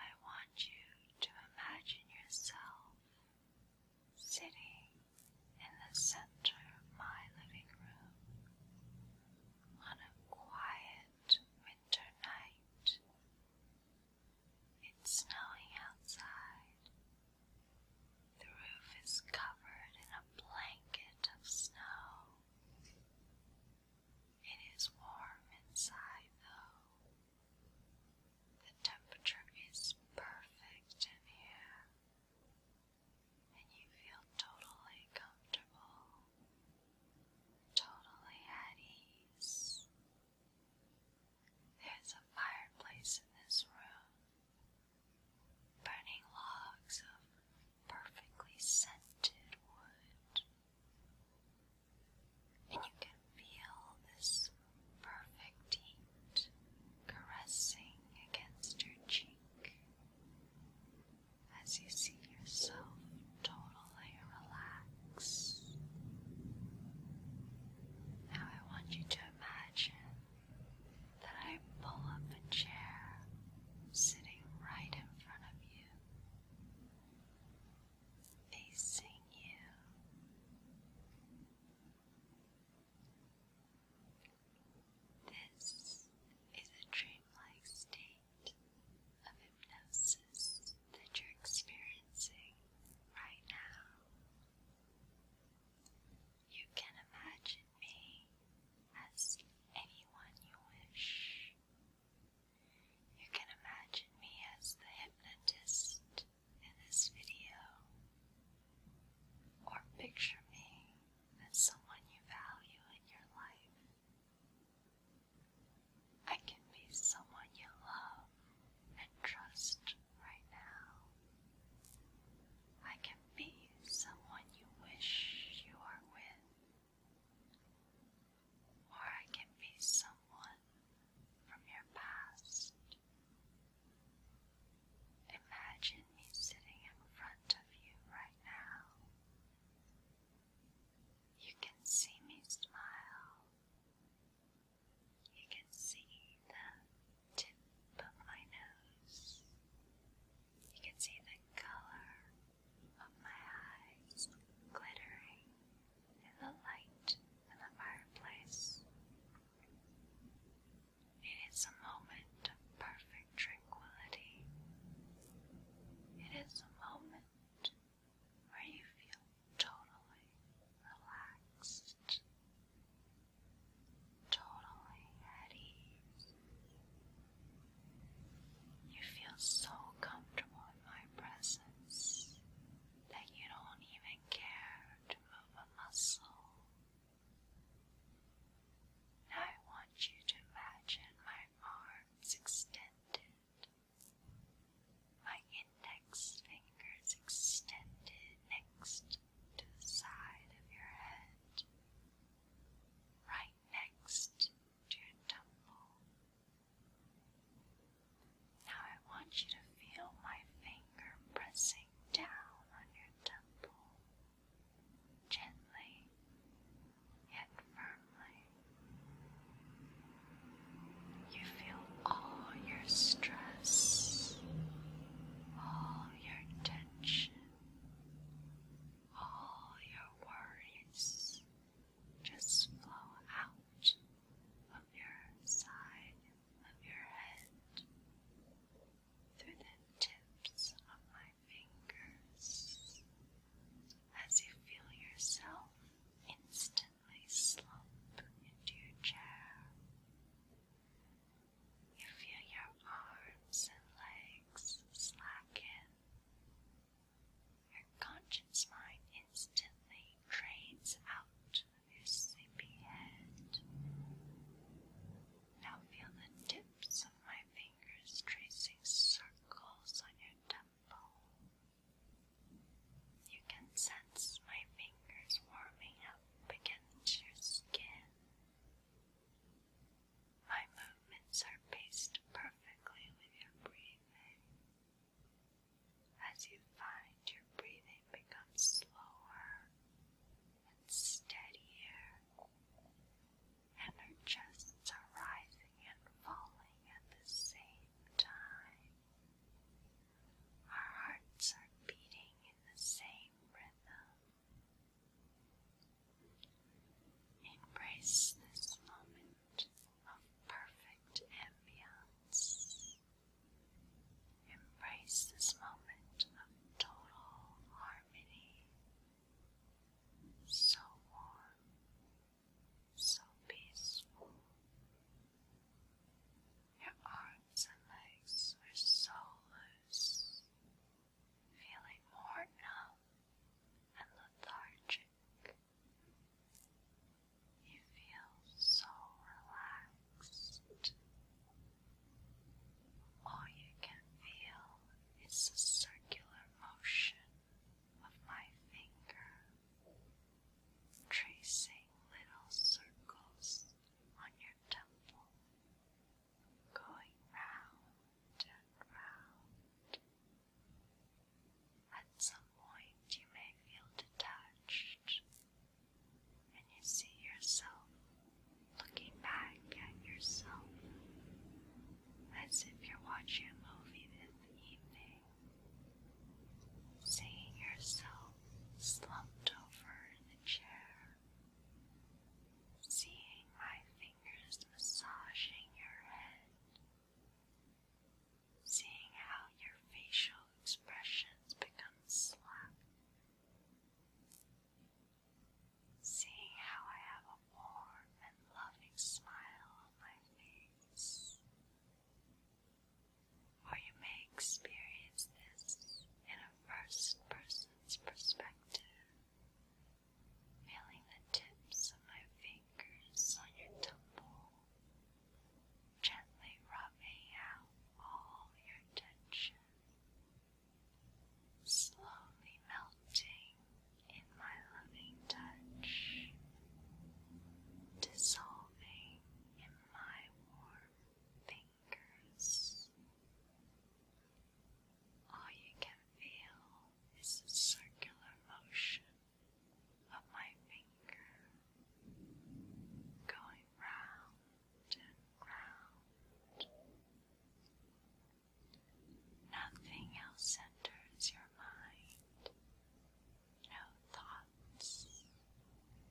I want you to imagine yourself sitting in the center of my living room on a quiet winter night. It's snowing outside. The roof is covered in a blanket of snow. It is warm inside, though. The temperature is perfect in here, and you feel totally comfortable, totally at ease. There's a fireplace in this room, burning logs of perfectly scented wood. And you can feel this perfect heat caressing against your cheek as you see yourself totally relax. Now I want you to imagine that I pull up a chair sitting right in front of you facing you. This is a dreamlike state of hypnosis that you're experiencing right now. You can imagine me as anyone you wish. You can imagine me as the hypnotist in this video, or picture me as someone you value in your life. I can be someone you love and trust right now. I can be someone you wish you are with or I can be someone from your past. Imagine me sitting in front of you right now. You can see me smile. You can see the tip of my nose. You can see the color of my eyes glittering in the light and the fireplace. It is a moment of perfect tranquility. It is a moment where you feel totally relaxed, totally at ease. You feel so comfortable in my presence that you don't even care to move a muscle. I want you to imagine my arms extended, my index fingers extended next to the side of your head, right next to your temple. Now I want you to feel my finger pressing down on your temple, gently yet firmly. You feel all your stress, all your tension, all your worries just flow out your side of your head, through the tips of my fingers, as you feel yourself instantly slump into your chair. You feel your arms and legs slacken. Your conscious mind instantly drains out of your sleepy head. Now feel the tips of my fingers tracing circles on your temple. You can sense my fingers warming up against your skin. My movements are paced perfectly with your breathing as you find your breathing becomes slower and steadier, and our chests are rising and falling at the same time. Our hearts are beating in the same rhythm. Embrace this moment of perfect ambience. Embrace this moment of total harmony. So warm, so peaceful. Your arms and legs are so loose, feeling more numb and lethargic. You feel so relaxed. All you can feel is the circular motion of my finger, tracing little circles on your temple, going round and round. At some point, you may feel detached, and you see yourself looking back at yourself as if you're watching a movie in the evening, seeing yourself slumped over in the chair, seeing my fingers massaging your head seeing how your facial expressions become slack, seeing how I have a warm and loving smile on my face. Or you may experience this in a first person's perspective, feeling the tips of my fingers on your temple gently rubbing out all your tension, slowly melting in my loving touch, dissolving in my warm fingers. All you can feel is a circular motion of my finger going round and round. Nothing else enters your mind. No thoughts,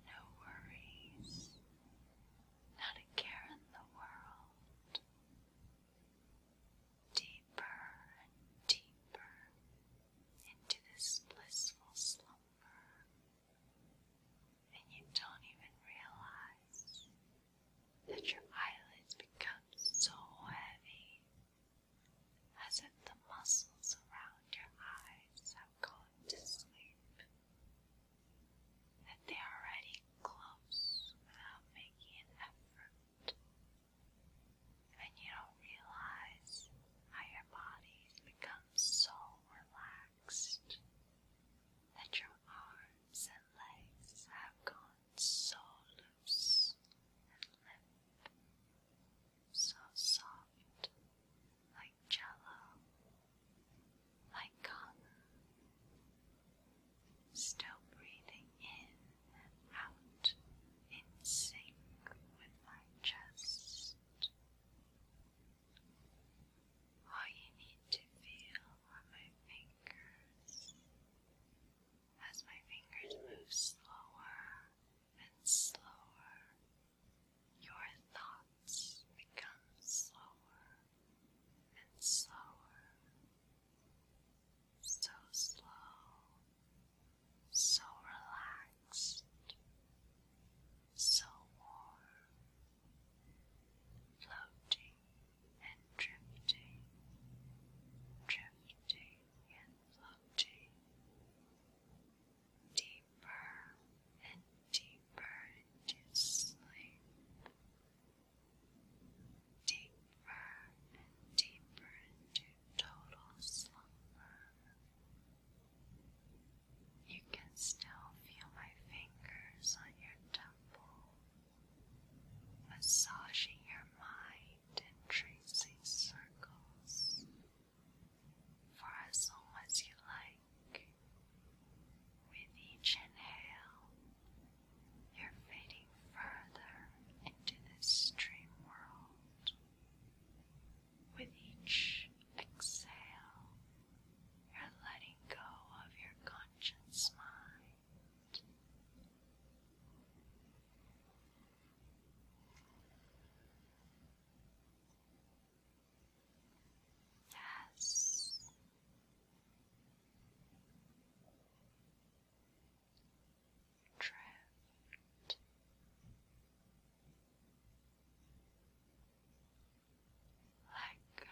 no worries, not a care in the world. Deeper and deeper into this blissful slumber and you don't even realize that your eyelids become so heavy as if the muscles around your eyes have gone to sleep, that they are already close without making an effort, and you don't realize how your body's become so relaxed that your arms and legs have gone so loose and limp, so soft, like jello, like cotton, still breathing in and out in sync with my chest. All you need to feel are my fingers. As my fingers move slower and slower, your thoughts become slower and slower. So slow so relaxed, so warm, floating and drifting, drifting and floating, deeper and deeper into sleep, deeper and deeper into total slumber. You can still feel my fingers on your temple, massaging your mind and tracing circles for as long as you like. With each inhale, you're fading further into this dream world. With each exhale, you're letting go of your conscious mind. Yes. Drift let go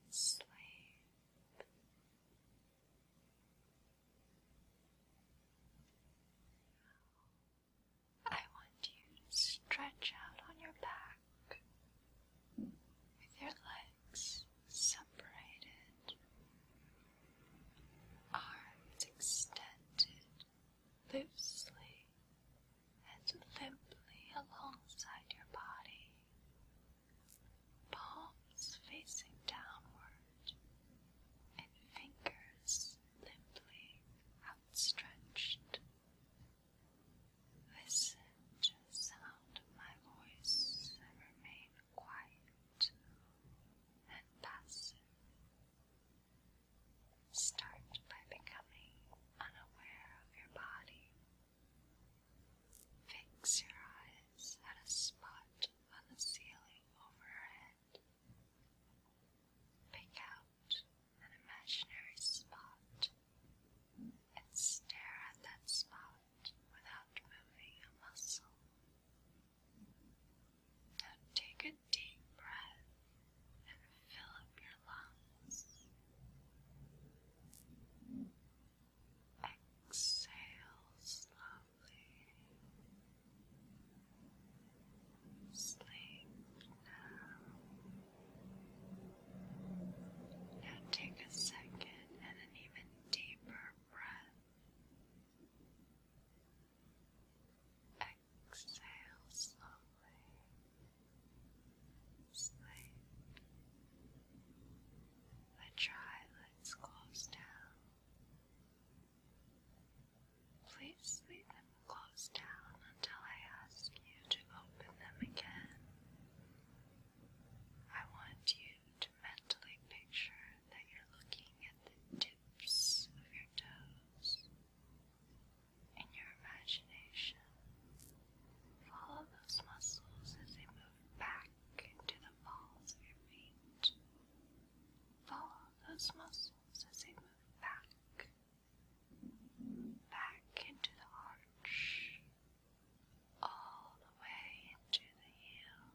and sleep. I want you to stretch out on your back with your legs separated, arms extended loosely and limply alongside your body, palms facing downward, and fingers limply outstretched. Listen to the sound of my voice and remain quiet and passive. Start by becoming unaware of your body. Fix your eyes at a spot on the ceiling overhead. Pick out an imaginary spot and stare at that spot without moving a muscle. Now take a deep breath and fill up your lungs. Exhale slowly. Sleep now. Now take a second and an even deeper breath. Exhale slowly. Sleep. The eyelids close down. Please leave them closed down until I ask you to open them again. I want you mentally picture that you're looking at the tips of your toes. In your imagination, follow those muscles as they move back into the balls of your feet. Follow those muscles as they move back, back into the arch, all the way into the heel.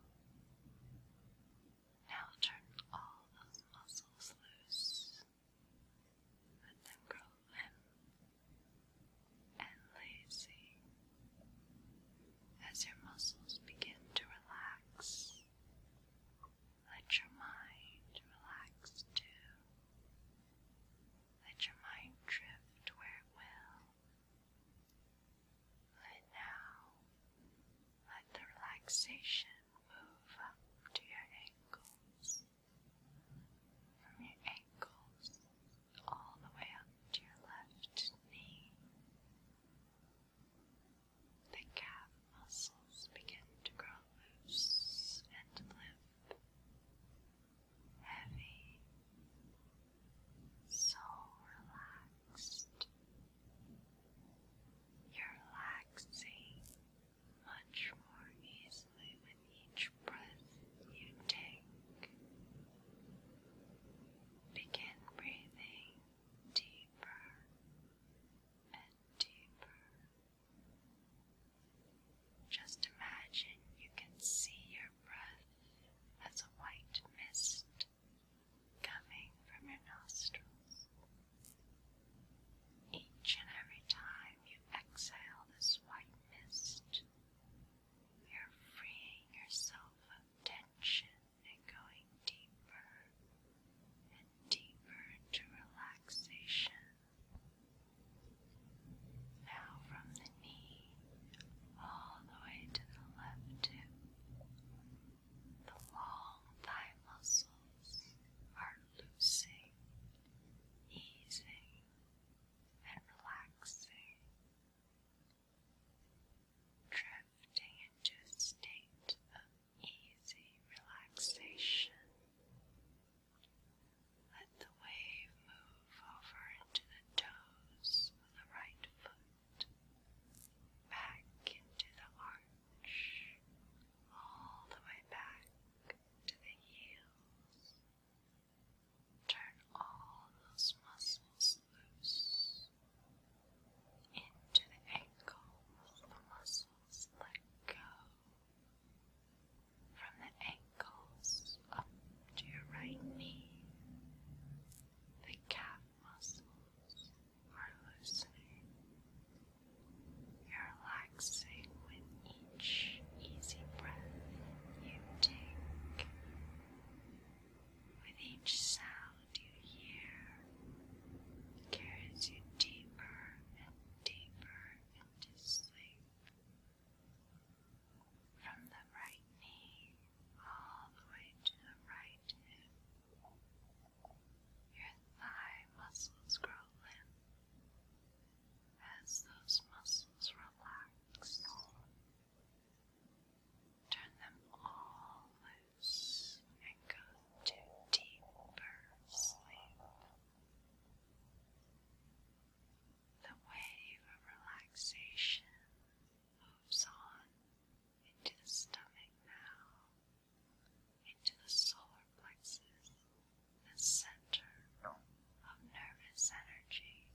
Now turn all those muscles loose. Let them grow limp and lazy. As your muscles begin to relax, let your mind relax too. Let your mind drift where it will. And now let the relaxation move up to your ankles. From your ankles all the way up to your left knee. The calf muscles begin to grow loose and limp. Heavy so relaxed. You're relaxing much more easily with each breath you take. Begin breathing deeper and deeper. Just imagine you can see your breath as a white mist coming from your nostrils. Each and every time you exhale this white mist, you're freeing yourself of tension and going deeper and deeper into relaxation. Now, from the knee all the way to the left hip, the long thigh muscles are loosing, easing, and relaxing, drifting into a state of easy relaxation. Let the wave move over into the toes of the right foot back into the arch, all the way back to the heels. Turn all those muscles loose into the ankles. The muscles let go from the ankles up to your right knee. The calf muscles are loosening. You're relaxing with each easy breath you take. With each sound you hear, it carries you deeper and deeper into sleep. From the right knee all the way to the right hip, your thigh muscles grow limp as those muscles relax. Turn them all loose and go to deeper sleep. The wave of relaxation moves on into the stomach now, into the solar plexus, the center of nervous energy.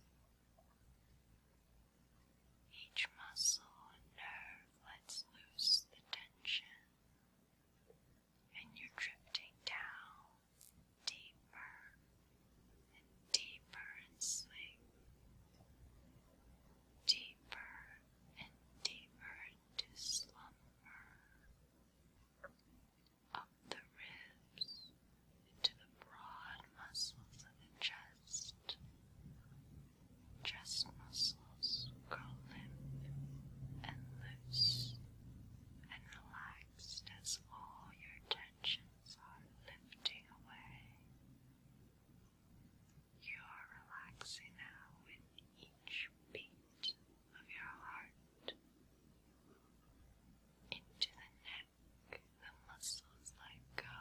Each muscle and nerve lets loose the tension, and you're drifting down deeper and deeper in sleep deeper and deeper to slumber. Up the ribs into the broad muscles of the chest. Chest muscles grow limp and loose and relaxed as all your tensions are lifting away. You are relaxing now with each beat of your heart. Into the neck, the muscles let go.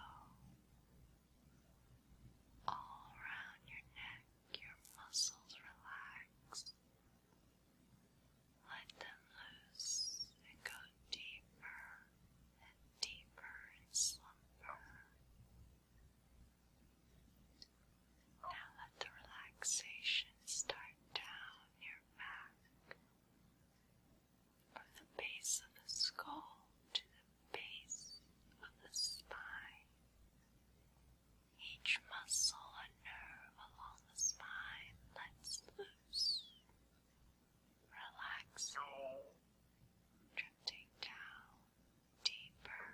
All around your neck, your muscles relax. Let them loose and go deeper and deeper slumber. Now let the relaxation start down your back, from the base of the skull to the base of the spine. Each muscle and nerve along the spine lets loose relaxing, drifting down deeper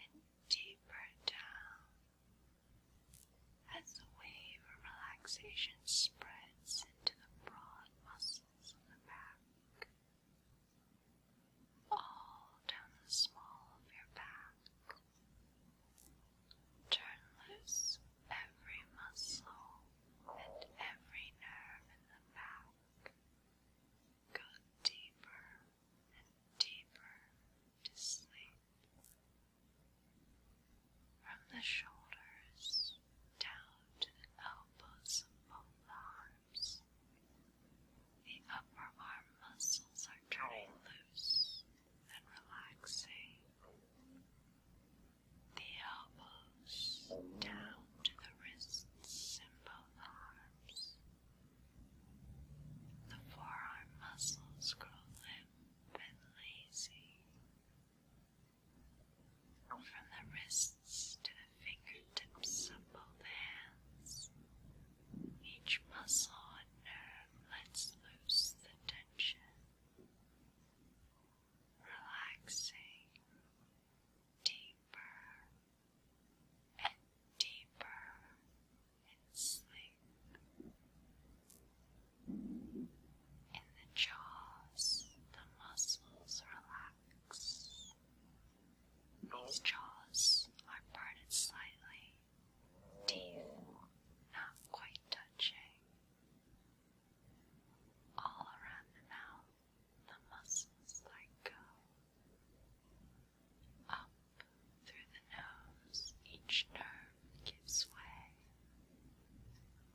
and deeper down as the wave of relaxation spreads into the broad muscles of the back, all down the small of your back. Turn loose every muscle and every nerve in the back got deeper and deeper to sleep. From the shoulders down to the elbows of both arms, the upper arm muscles are turning loose and relaxing. The elbows down to the wrists and both arms. The forearm muscles grow limp and lazy. From the wrists to the fingertips of both hands, each muscle and nerve lets loose the tension, relaxing deeper and deeper in sleep. In the jaws, the muscles relax. These jaws are parted slightly, teeth not quite touching. All around the mouth, the muscles like, go. Up through the nose, each nerve gives way.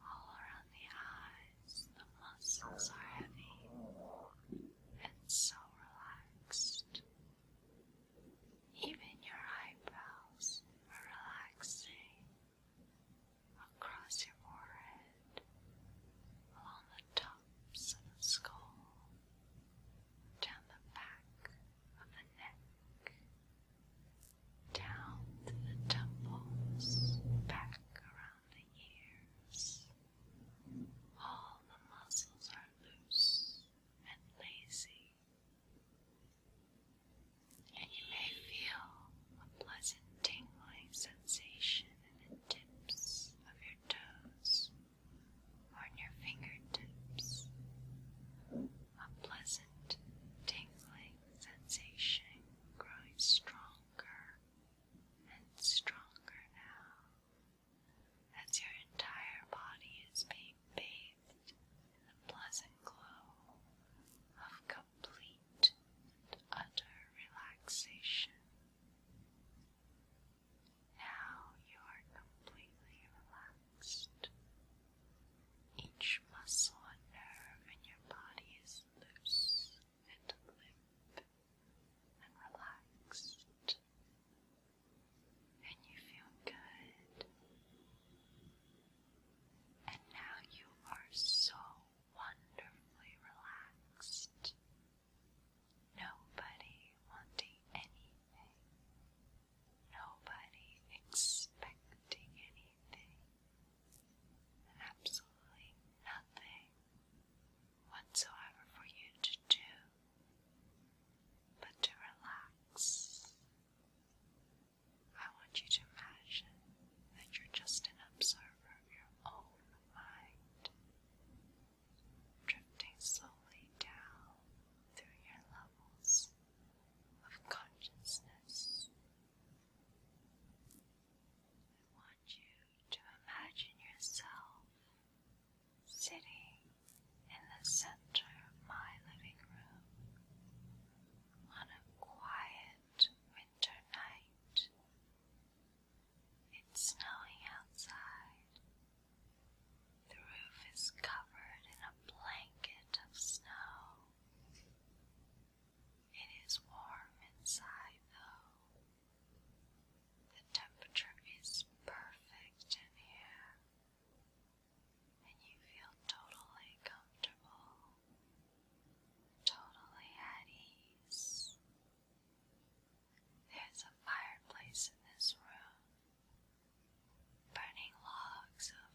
All around the eyes, the muscles are heavy and so relaxed. Even your eyebrows are relaxing across your forehead, along the tops of the skull, down the back of the neck, down to the temples, back around the ears. All the muscles are loose and lazy. And you may feel a pleasant tingling sensation the tips of your toes or on your fingertips. A pleasant tingling sensation growing stronger and stronger now as your entire body is being bathed in the pleasant glow of complete and utter relaxation. Now you are completely relaxed. Each muscle and nerve in your body is loose and limp and relaxed. And you feel good. And now you are so wonderfully relaxed Nobody wanting anything. Nobody expecting anything. Absolutely nothing whatsoever for you to do but to relax. I want you to imagine that you're just an observer of your own mind drifting slowly down through your levels of consciousness. I want you to imagine yourself sitting in the center of my living room on a quiet winter night. It's snowing outside. The roof is covered in a blanket of snow. It is warm inside, though. The temperature is perfect in here, and you feel totally comfortable, totally at ease. There's a fireplace in this room. Burning logs of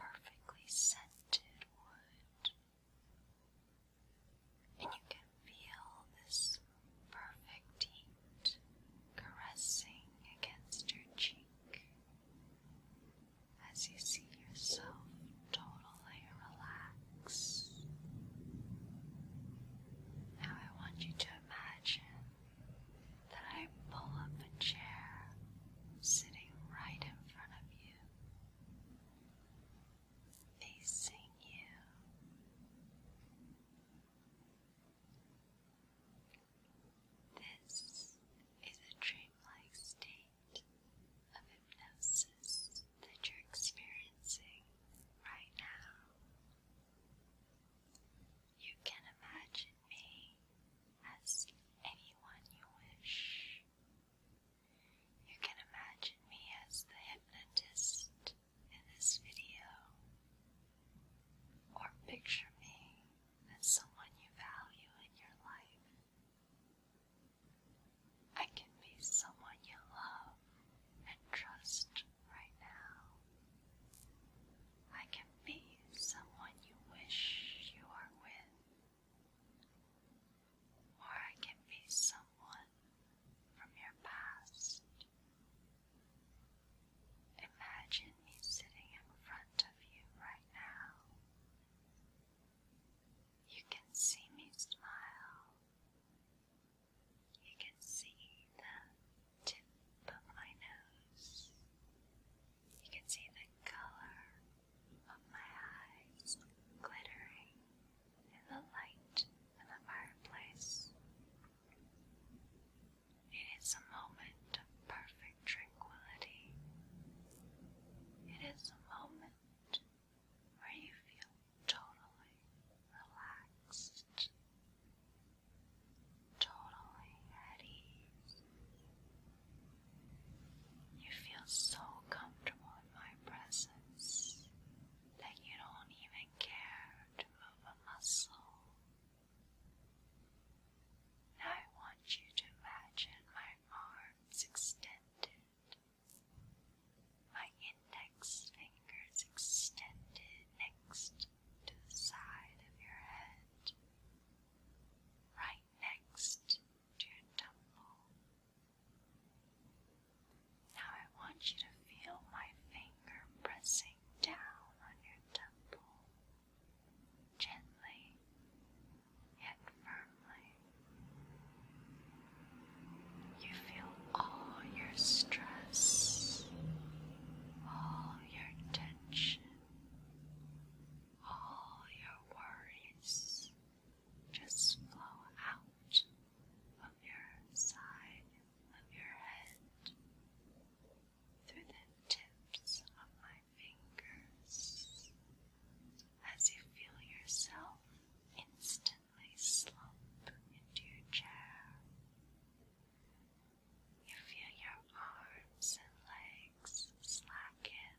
perfectly scented wood. And you can feel this perfect heat caressing against your cheek as you see yourself totally relax. Now I want you to imagine that I pull up a chair sitting right in front of you, facing you. This is a dreamlike state of hypnosis that you're experiencing right now. You can imagine me as anyone you wish. You can imagine me as the hypnotist in this video, or picture me as someone you value in your life. I can be someone you love and trust right now. I can be someone you wish you are with. Or I can be someone from your past. Imagine me sitting in front of you right now. You can see me smile. You can see the tip of my nose. You can see the color of my eyes glittering in the light of the fireplace. It is a moment of perfect tranquility. It is a moment where you feel totally relaxed, totally at ease. You feel so comfortable in my presence that you don't even care to move a muscle. Now I want you to imagine my arms extended my index finger is extended next to the side of your head, right next to your temple. Now I want you to feel my finger pressing down on your temple, gently yet firmly. You feel all your stress, all your tension, all your worries just flow out of your side of your head through the tips of my fingers as you feel yourself instantly gently slump into your chair. You feel your arms and legs slacken.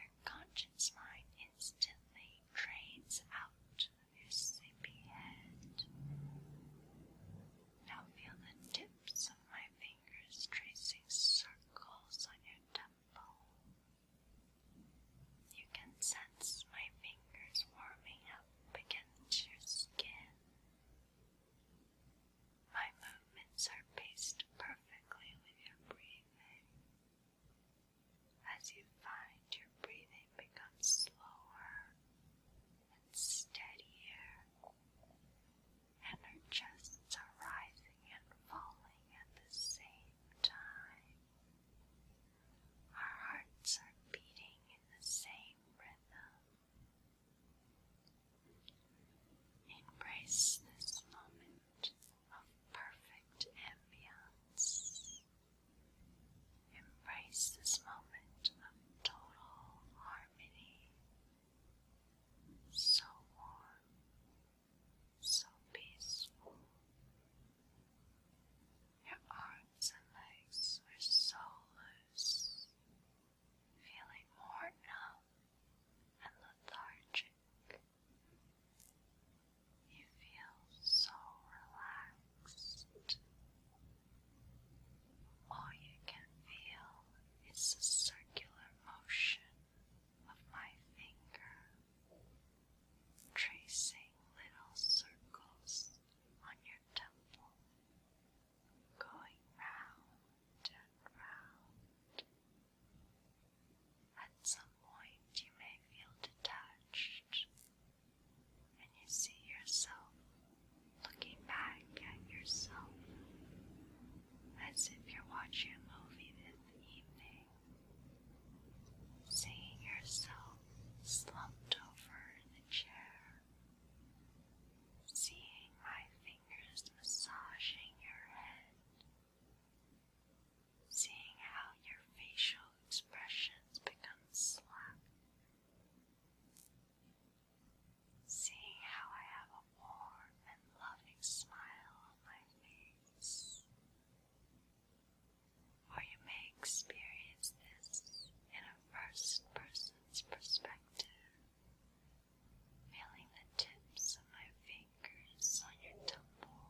Your conscious mind instantly drains out of your sleepy head. Now feel the tips of my fingers tracing circles on your temple. You can sense my fingers warming up against your skin. My movements are paced perfectly with your breathing. As you find your breathing becomes slower and steadier, and our chests are rising and falling at the same time. Our hearts are beating in the same rhythm. Embrace this moment of perfect ambience. Embrace this moment of total harmony. So warm, so peaceful. Your arms and legs are so loose, feeling more numb and lethargic. You feel so relaxed. All you can feel is the circular motion of my finger tracing little circles on your temple, going round and round. At some point, you may feel detached, and you see yourself looking back at yourself as if you're watching a movie this evening seeing yourself slumped over in chair, seeing my fingers massaging your head, seeing how your facial expressions become slack. Seeing how I have a warm and loving smile on my face, or you may experience this in a first person's perspective, feeling the tips of my fingers on your temple,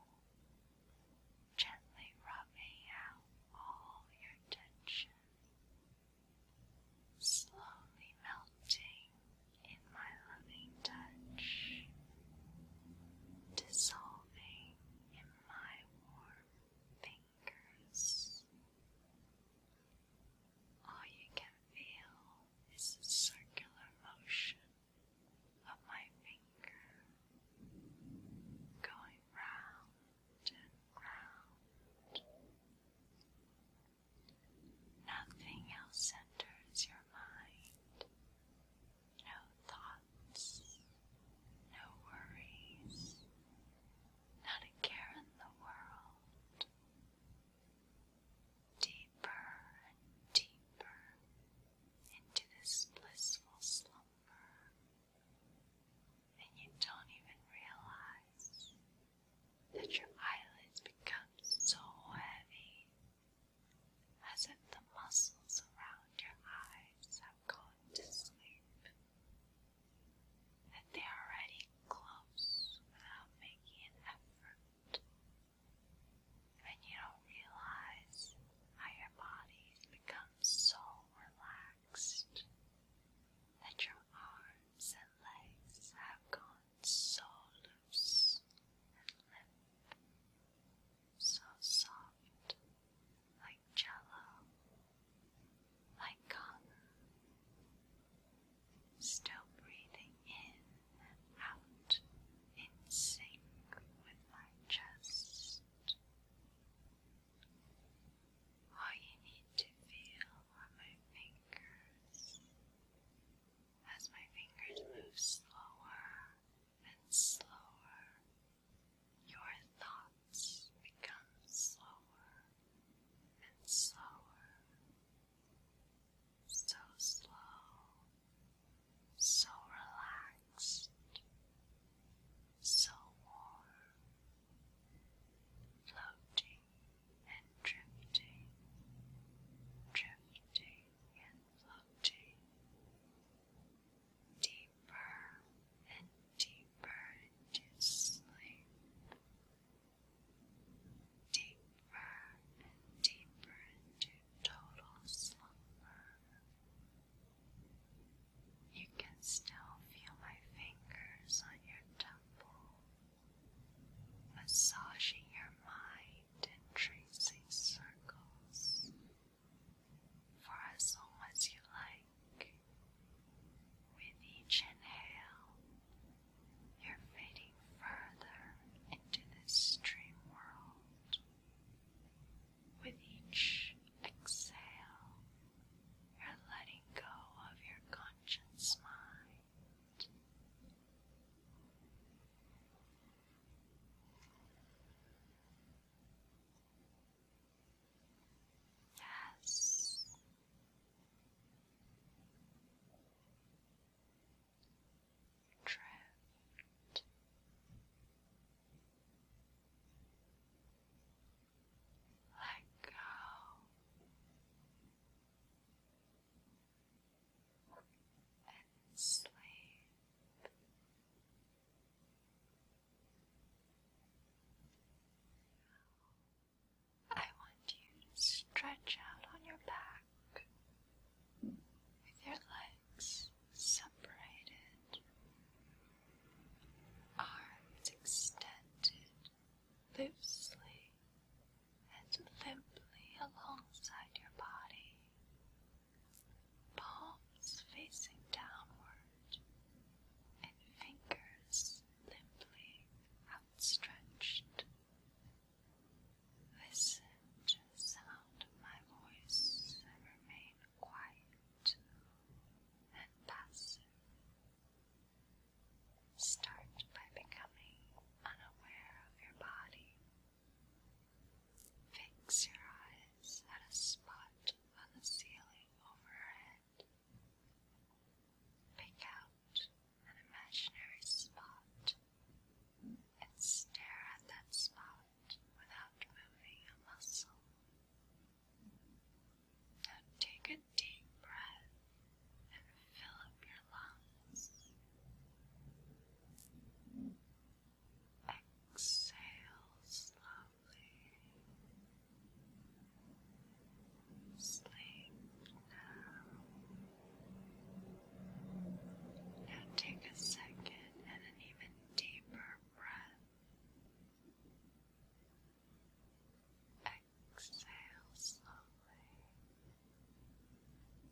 gently rubbing out all your tension, slowly melting in my loving touch. Dissolving in my warm fingers. All you can feel is circular motion of my finger going round and round. Nothing else enters your mind no thoughts, no worries, not a care in the world. Deeper and deeper into this blissful slumber, and you don't even realize that your eyelids become so heavy. As if the muscles around your eyes have have to sleep, that they are already close without making an effort, and you don't realize how your body becomes so relaxed that your arms and legs have gone so loose and limp, so soft. Like jello, like cotton, still breathing in and out in sync with my chest. All you need to feel are my fingers as my fingers move slower and slower your thoughts become slower and slower, so slow, so relaxed, so warm, floating and drifting, drifting and floating deeper and deeper into sleep, deeper and deeper into total slumber. You can still feel my fingers on your temple, massaging your mind and tracing circles for as long as you like. With each inhale, you're fading further into this dream world. With each exhale, you're letting go of your conscious mind. Yes. Drift. Let go. And sleep. I want you to stretch out on your back with your legs separated, arms extended loosely and limply alongside your body palms facing downward, and fingers limply outstretched. Listen to the sound of my voice and remain quiet and passive. Start by becoming unaware of your body. Fix your eyes at a spot on the ceiling over Pick out an imaginary spot and stare at that spot without moving a muscle. Now take a deep breath and fill up your lungs. Exhale slowly. Sleep now. Now take a second and an even deeper breath. Exhale slowly.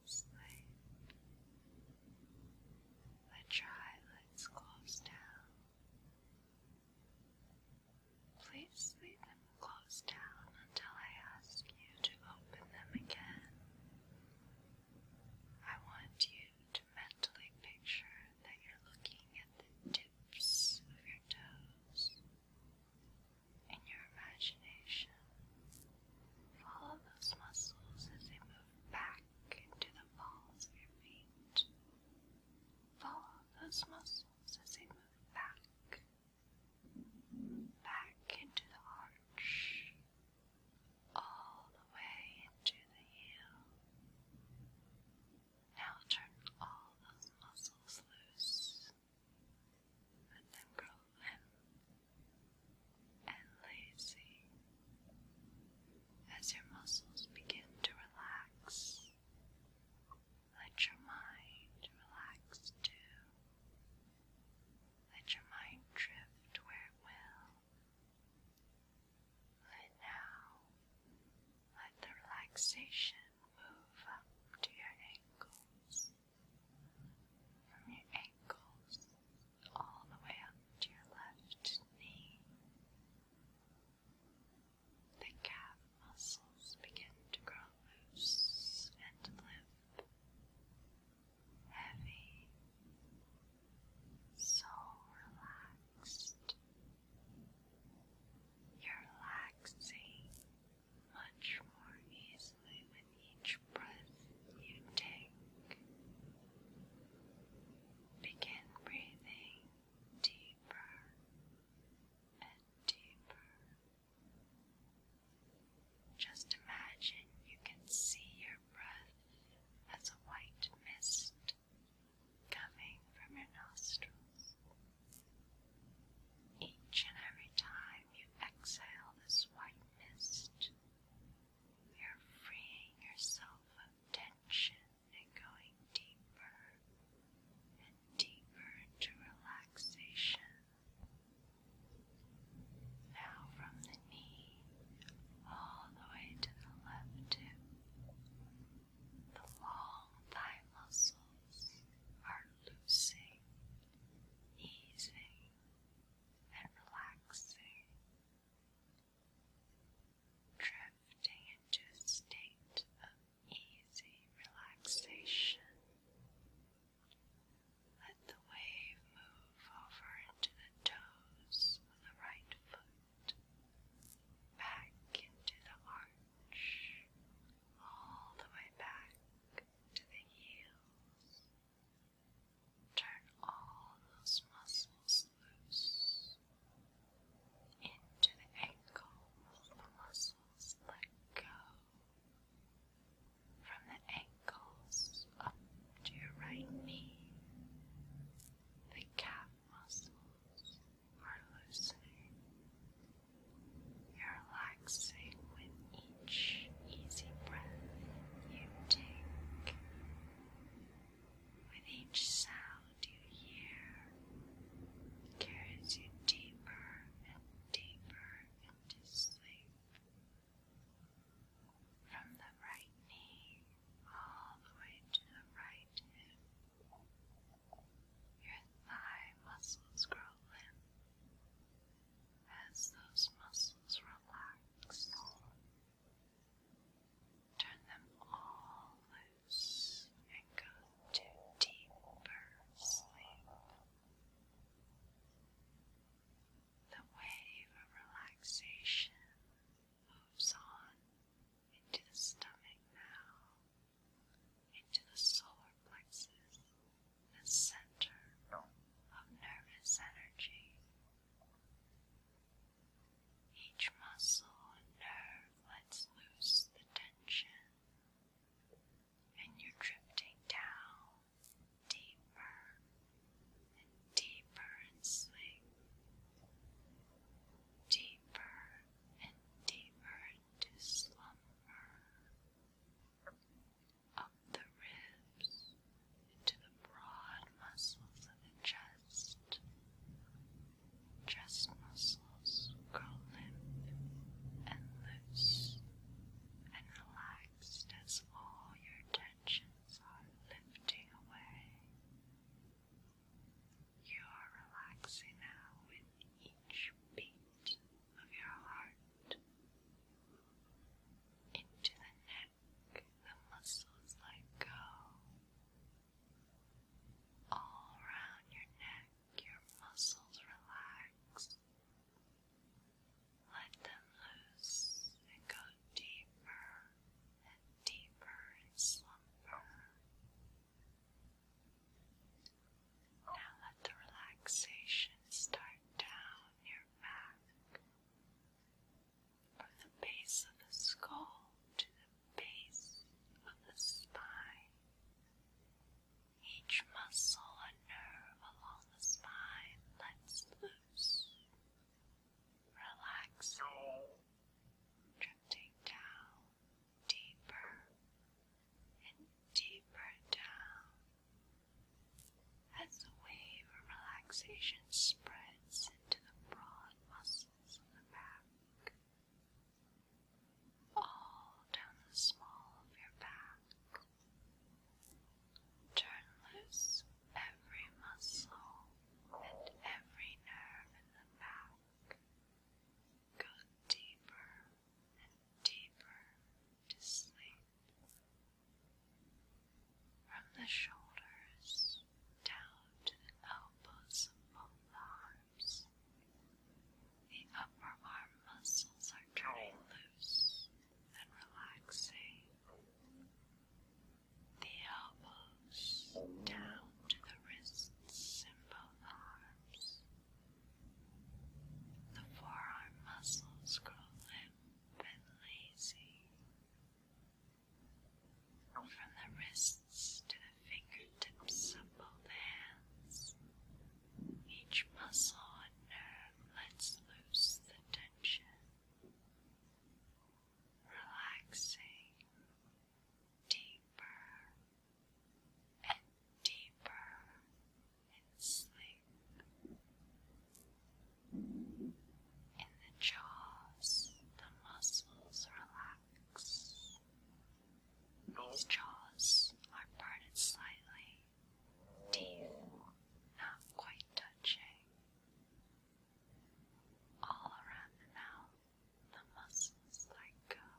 Sleep. Let eyelids close down. Please leave them closed down until I ask you to open them again. I want you to mentally picture that you're looking at the tips of your toes. In your imagination, follow those muscles as they move back into the balls of your feet. Follow those muscles as they move back, back into the arch, all the way into the heel. Now turn all those muscles loose. Let them grow limp and lazy as your muscles begin to relax. Let your mind relax too. Let your mind drift where it will. Let now, let the relaxation move up to your ankles. From your ankles all the way up to your left knee. The calf muscles begin to grow loose and limp, heavy, so relaxed. You're relaxing much more easily with each breath you take. Begin breathing deeper and deeper. Just imagine you can see your breath as a white mist coming from your nostrils. Each and every time you exhale this white mist, you're freeing yourself of tension and going deeper and deeper into relaxation. Now from the knee all the way to the left hip, the long thigh muscles are loosing, easing, and relaxing drifting into a state of easy relaxation. Let the wave move over into the toes of the right foot, back into the arch, all the way back to the heels. Turn all those muscles into the ankle, muscles let go from the ankles up to your right knee. The calf muscles are loosening. You're relaxing with each easy breath you take. With each sound you hear, it carries you deeper and deeper into sleep. From the right knee all the way to the right hip, your thigh muscles grow limp. As those muscles relax, Turn them all loose and go to deeper sleep. The wave of relaxation moves on into the stomach now, into the solar plexus, the center of nervous energy. Each muscle and nerve lets loose the tension, and you're drifting down deeper and deeper in sleep, deeper and deeper into slumber, up the ribs into the broad muscles of the chest chest muscles grow limp and loose and relaxed as all your tensions are lifting away. You are relaxing now with each beat of your heart. Into the neck, the muscles let go, all around your neck, your muscles relax. Let them loose and go deeper and deeper in slumber. Now let the relaxation start down your back, from the base of the skull to the base of the spine. Each muscle and nerve along the spine lets loose, relaxing, drifting down deeper and deeper down as the wave of relaxation spreads into the broad muscles of the back all down the small of your back. Turn loose every muscle and every nerve in the back. Go deeper and deeper to sleep. From the shoulders down to the elbows of both arms. The upper arm muscles are turning loose and relaxing. The elbows down to the wrists and both arms. The forearm muscles grow limp and lazy. From the wrists wrists to the fingertips of both hands. Each muscle and nerve lets loose the tension, relaxing deeper and deeper in sleep. In the jaws, the muscles relax. Its jaws are parted slightly, teeth not quite touching. All around the mouth, the muscles let go.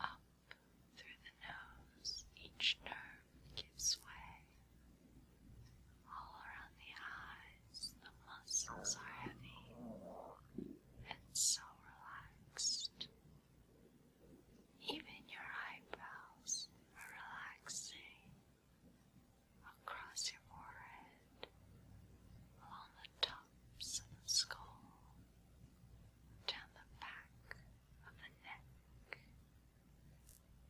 Up through the nose, each nerve gives way. All around the eye, the muscles are heavy and so relaxed. Even your eyebrows are relaxing across your forehead, along the tops of the skull, down the back of the neck,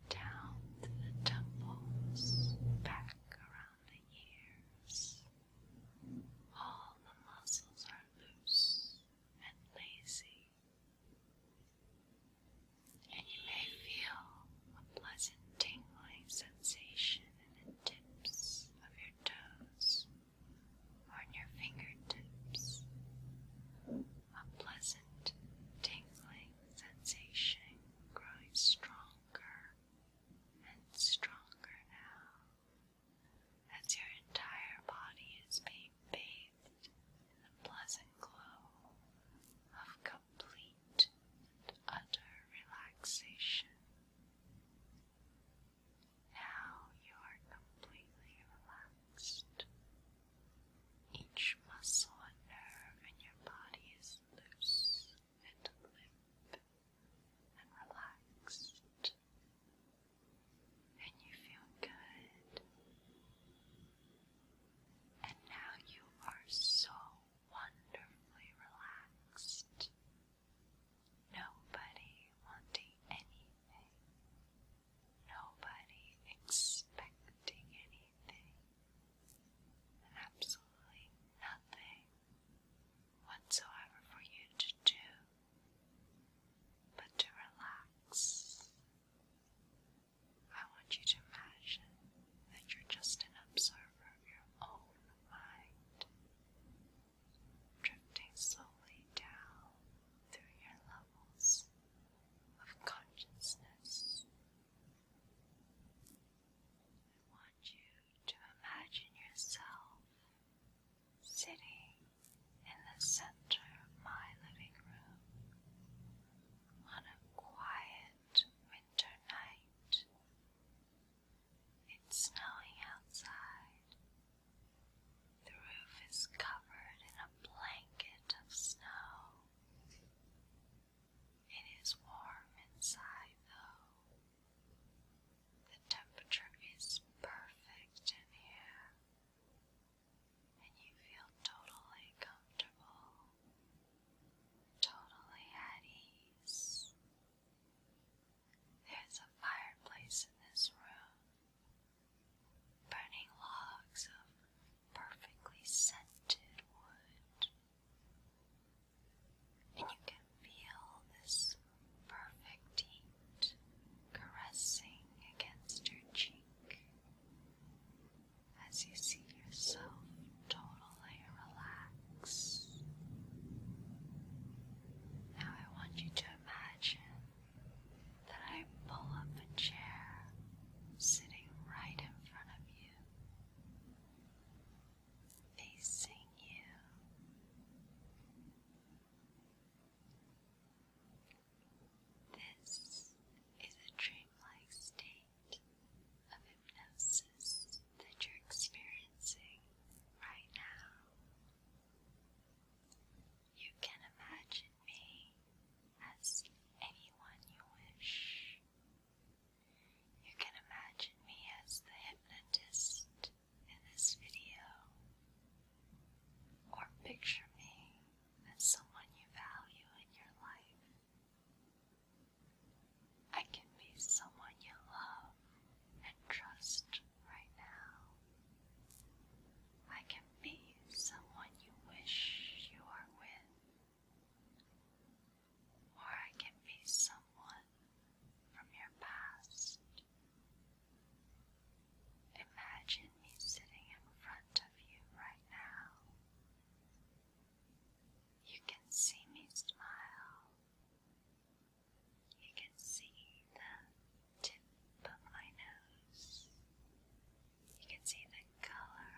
down the temples, back around the ears. All the muscles are loose and lazy, and you may feel a pleasant tingling sensation in the tips of your toes or in your fingertips. A pleasant tingling sensation growing stronger and stronger now as your entire body is being bathed in the pleasant glow of complete and utter relaxation. Now you are completely relaxed. Each muscle and nerve in your body is loose and limp and relaxed, and you feel good. And now you are so wonderfully relaxed. Nobody wanting anything. Nobody expecting anything. Absolutely nothing whatsoever for you to do, but to relax. I want you to imagine that you're just an observer of your own mind, drifting slowly down through your levels of consciousness. I want you to imagine yourself sitting in the center of my living room on a quiet winter night. It's snowing outside. The roof is covered in a blanket of snow. It is warm inside, though. The temperature is perfect in here, and you feel totally comfortable, totally at ease. There's a fireplace in this room, burning logs of perfectly scented wood and you can feel this perfect heat caressing against your cheek as you see yourself totally relax. Now I want you to imagine that I pull up a chair sitting right in front of you facing you. This is a dreamlike state of hypnosis that you're experiencing right now. You can imagine me as anyone you wish. You can imagine me as the hypnotist in this video, or picture me as someone you value in your life. I can be someone you love and trust right now. I can be someone you wish you are with, or I can be someone from your past. Imagine me sitting in front of you right now. You can see me smile. You can see the tip of my nose. You can see the color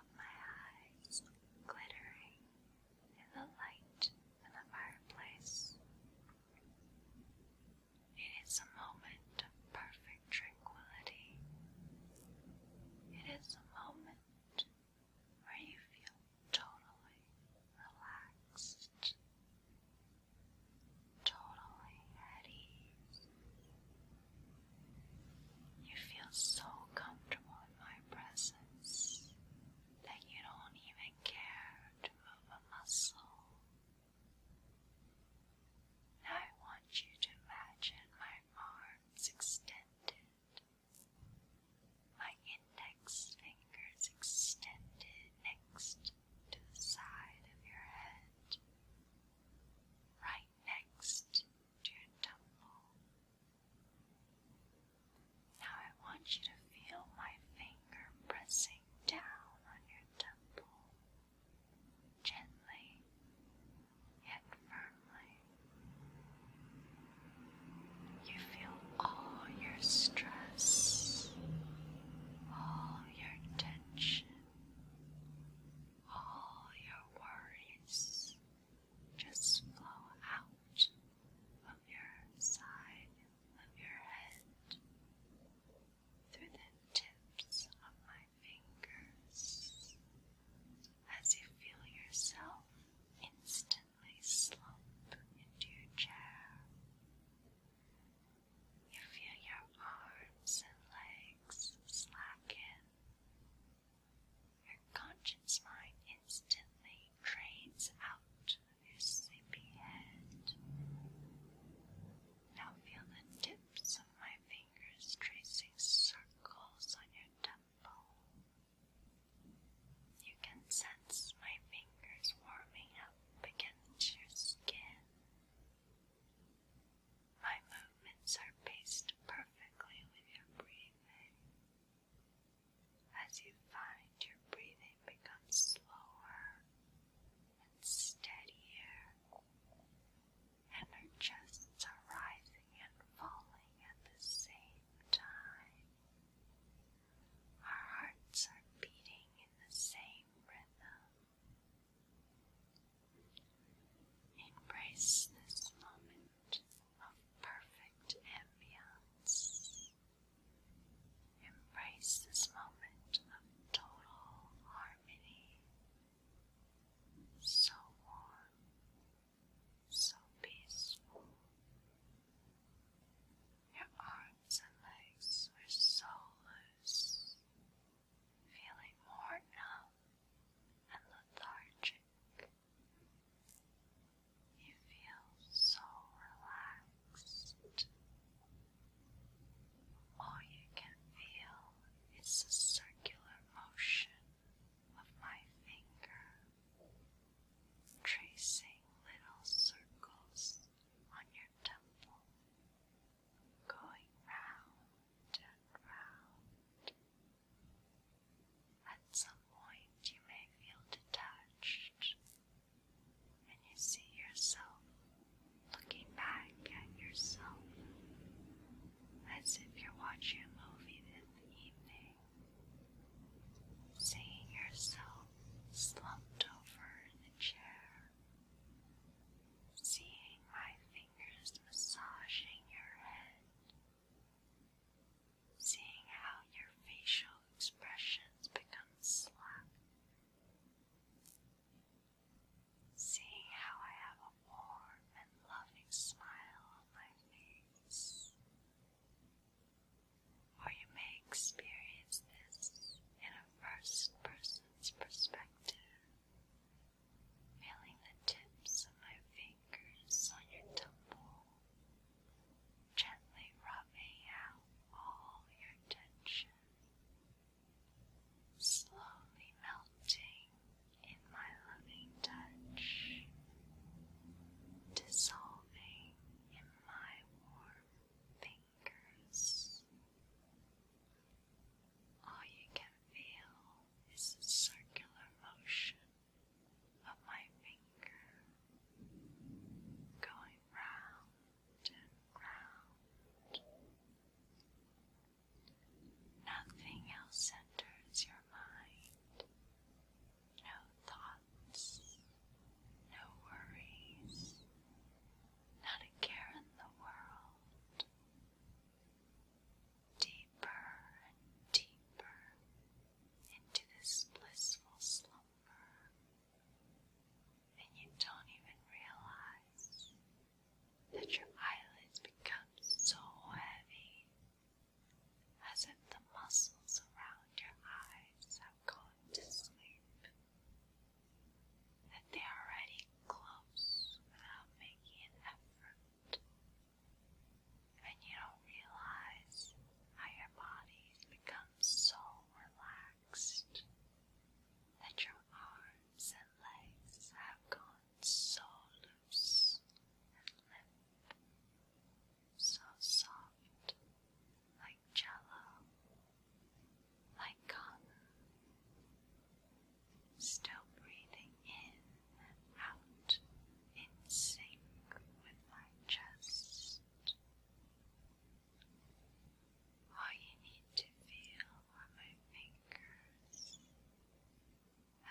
of my eyes glittering in the light in the fireplace. It is a moment of perfect tranquility. It is a moment where you feel totally relaxed, totally at ease. You feel so comfortable in my presence that you don't even care to move a muscle. I want you to imagine my arms extended, my index fingers extended next to the side of your head, right next to your temple. Now I want you to feel my finger pressing down on your temple, gently yet firmly. You feel all your stress, all your tension, all your worries just flow out of your side of your head through the tips of my fingers as you feel yourself instantly slump into your chair. You feel your arms and legs slacken. Your conscious mind instantly drains out your sleepy head. Now feel the tips of my fingers tracing circles on your temple. You can sense my fingers warming up against your skin. My movements are paced perfectly with your breathing as you find your breathing becomes slower and steadier, and her chests are rising and falling at the same time. Our hearts are beating in the same rhythm. Embrace this moment of perfect ambience. Embrace this moment of total harmony. So warm, so peaceful. Your arms and legs were so loose, feeling more out and lethargic. You feel so relaxed. All you can feel is the circular motion of my finger, tracing little circles on your temple, going round and round. At some point, you may feel detached and you see yourself looking back at yourself as if you're watching a movie in the evening, seeing yourself slumped over in the chair, seeing my fingers massaging your head seeing how your facial expressions become slack, seeing how I have a warm and loving smile on my face. Or you may experience this in a first person's perspective, feeling the tips of my fingers on your temple gently rubbing out all your tension, slowly melting in my loving touch, dissolving in my warm fingers. All you can feel is the circular motion of my finger going round and round. Nothing else enters your mind. No thoughts, no worries, not a care in the world. Deeper and deeper into this blissful slumber and you don't even realize that your eyelids become so heavy as if the muscles around your eyes have gone to sleep, that they are already close without making an effort, and you don't realize how your body becomes so relaxed, that your arms and legs have gone so loose and limp, so soft, like jello, like cotton, still breathing in and out in sync with my chest. All you need to feel are my fingers.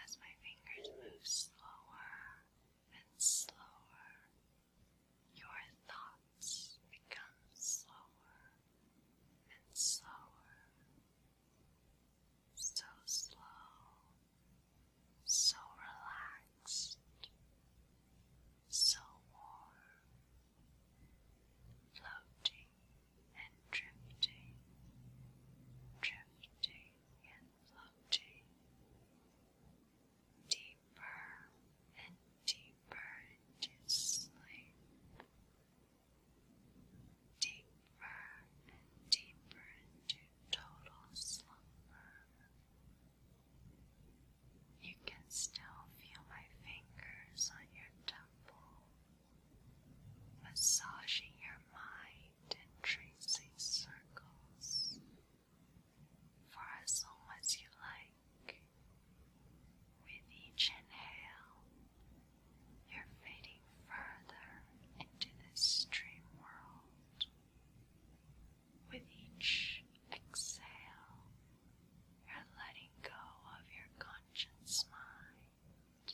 As my fingers move slower and slower, your thoughts become slower and slower. So slow, so relaxed so warm, floating and drifting, drifting and floating, deeper and deeper into sleep. Deeper and deeper into total slumber, you can still feel my fingers on your temple, massaging your mind and tracing circles for as long as you like. With each inhale, you're fading further into this dream world. With each exhale, you're letting go of your conscious mind.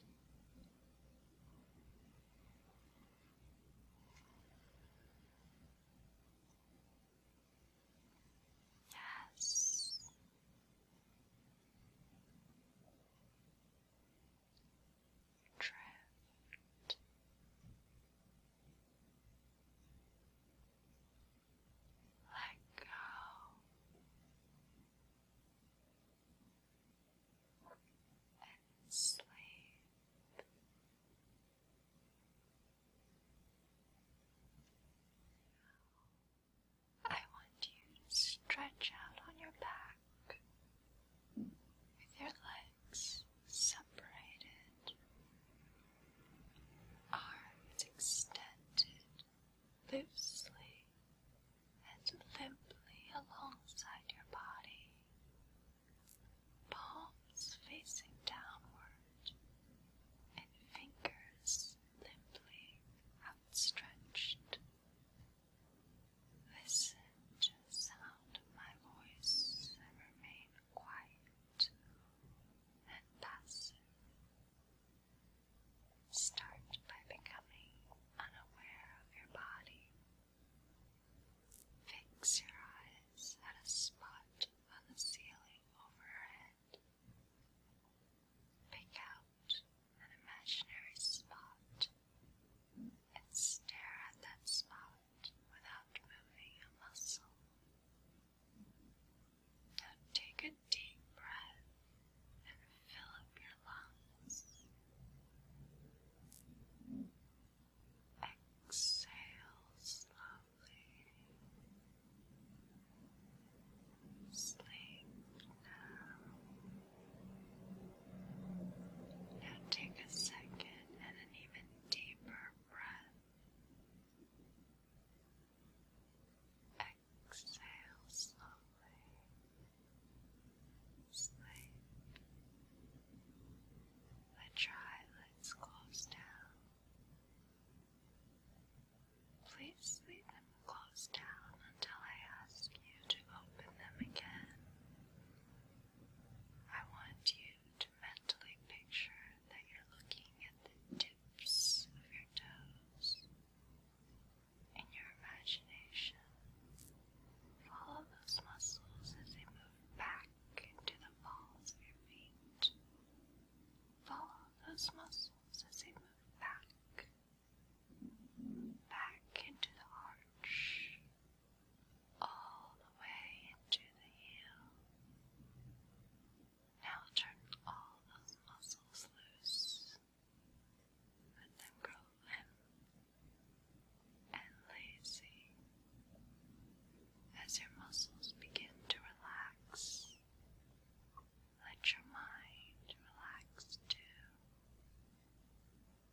Yes. Drift let go and sleep. I want you to stretch out on your back with your legs separated arms extended loosely and limply alongside your body, palms facing downward, and fingers limply outstretched. Listen to sound my voice and remain quiet and passive. Start by becoming unaware of your body. Fix your eyes at a spot on the ceiling overhead. Pick out an imaginary spot and stare at that spot without moving a muscle. Now take a deep breath and fill up your lungs. Exhale slowly. Sleep now. Now take a second and an even deeper breath. Exhale slowly. Sleep. The eyelids close down. Please leave them closed down until I ask you to open them again. I want you to mentally picture that you're looking at the tips of your toes. In your imagination, follow those muscles as they move back into the balls of your feet. Follow those muscles as they move back, back into the arch, all the way into the heel. Now turn all those muscles loose. Let them grow limp and lazy. As your muscles begin to relax, let your mind relax too.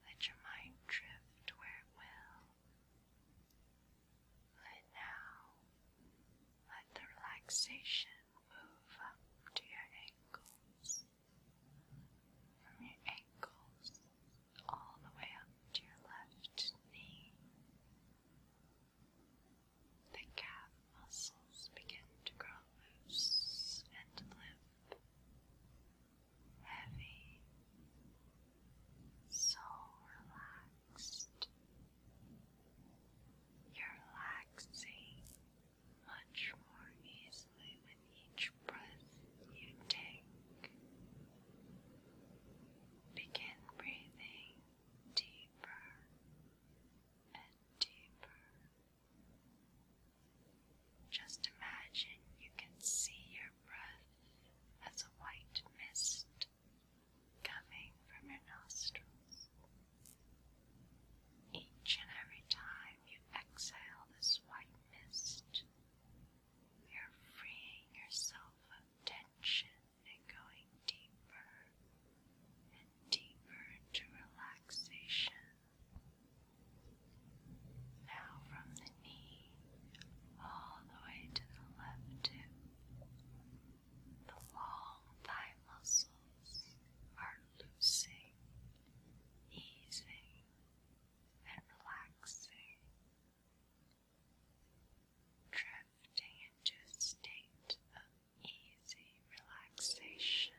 Let your mind drift where it will. And now let the relaxation move up to your ankles. From your ankles all the way up to your left knee. The calf muscles begin to grow loose and limp, heavy, so relaxed. You're relaxing much more easily with each breath you take. Begin breathing deeper and deeper. Just imagine you can see your breath as a white mist coming from your nostrils. Each and every time you exhale this white mist, you're freeing yourself of tension and going deeper and deeper into relaxation. Now, from the knee all the way to the left hip, the long thigh muscles are loosening, easing, and relaxing, drifting into a state of easy relaxation.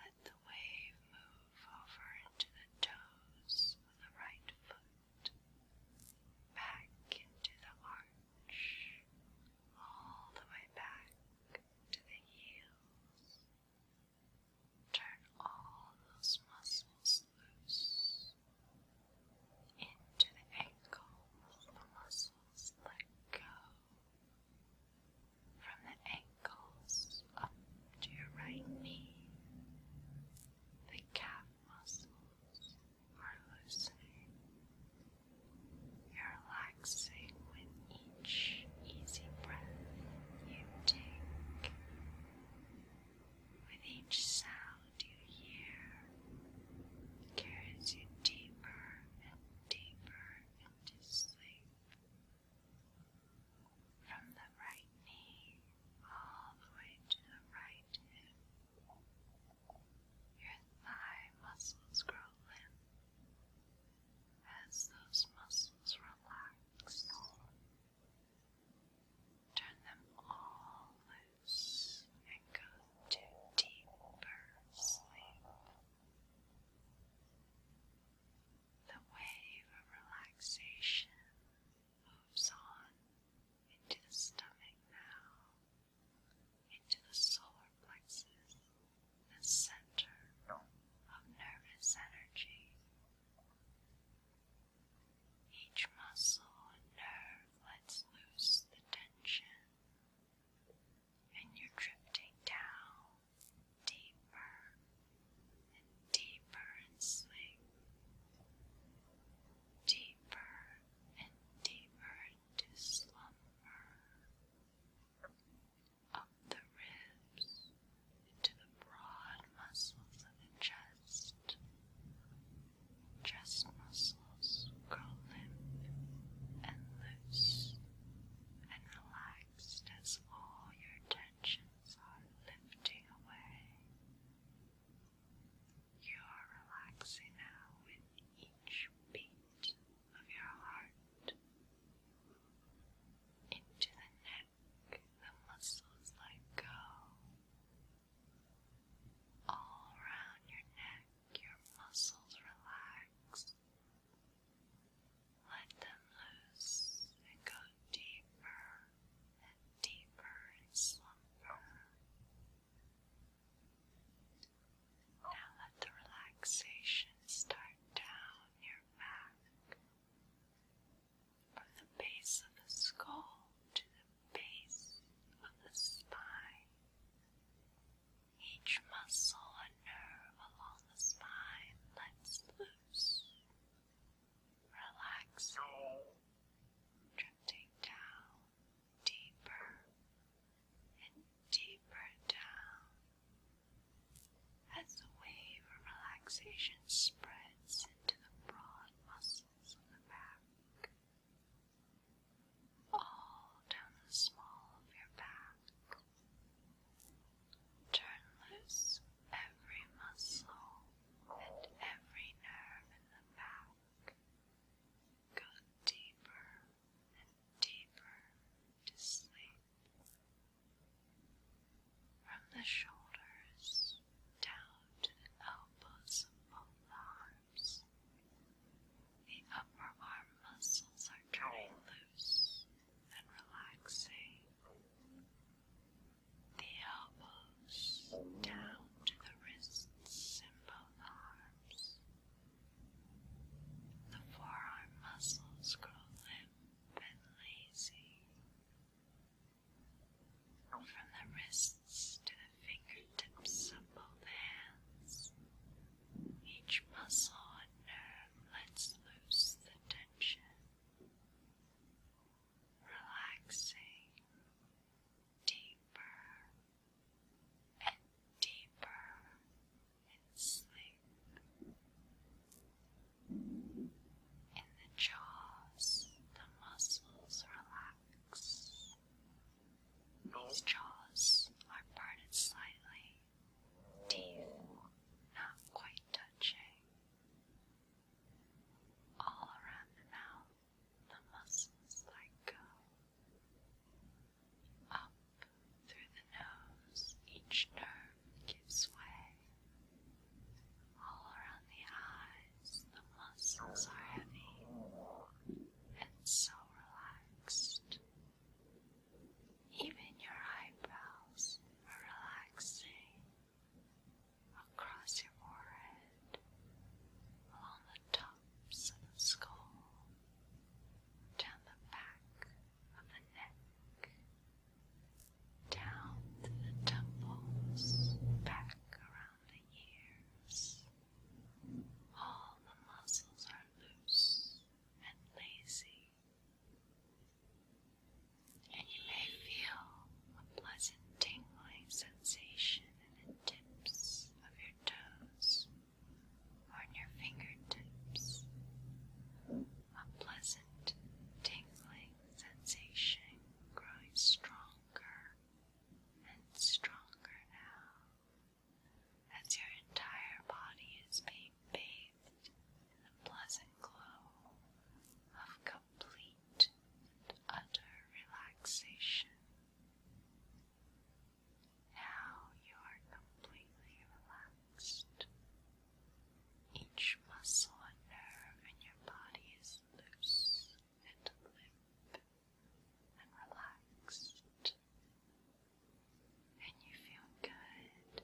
Let the wave move over into the toes of the right foot back into the arch, all the way back to the heels. Turn all those muscles loose into the ankles. The muscles let go from the ankles up to your right knee. The calf muscles are loosening. You're relaxing with each easy breath you take. With each sound you hear, carries you deeper and deeper into sleep. From the right knee all the way to the right hip, your thigh muscles grow limp as those muscles relax. Turn them all loose and go to deeper sleep. The wave of relaxation moves on into the stomach now, into the solar plexus, the center of nervous energy. Each muscle and nerve lets loose the tension, and you're drifting down deeper and deeper in sleep. Deeper deeper and deeper to slumber, up the ribs, into the broad muscles of the chest. Chest muscles grow and loose and relaxed as all your tensions are lifting away. You are relaxing now with each beat of your heart. Into the neck, the muscles let go. All around your neck, your muscles relax. Let them loose and go deeper and deeper and slumber. Now let the relaxation start down your back, from the base of the skull to the base of the spine. Each muscle and nerve along the spine lets loose, relaxing, drifting down deeper and deeper down as the wave of relaxation spreads into the broad muscles of the back, all down the small of your back. Turn loose every muscle and every nerve in the back got deeper and deeper to sleep. From the shoulders down to the elbows of both arms, the upper arm muscles are turning loose and relaxing. The elbow down to the wrists and both arms. The forearm muscles grow limp and lazy. From the wrists to the fingertips of both hands, each muscle and nerve lets loose the tension. Relaxing, deeper and deeper and sleep. And the jaws, the muscles relax. These jaws are parted slightly, teeth not quite touching. All around the mouth, the muscles like, go. Up through the nose, each nerve gives way. All around the eyes, the muscles are heavy and so relaxed. Even your eyebrows are relaxing across your forehead along the tops of the skull, down the back of the neck, down the temples, back around the ears. All the muscles are loose and lazy. And you may feel a pleasant tingling sensation in the tips of your toes or on your fingertips. A pleasant tingling sensation growing stronger and stronger now as your entire body is being bathed in the pleasant glow of complete and utter relaxation. Now you are completely relaxed. Each muscle and nerve in your body is loose and limp and relaxed. And you feel good.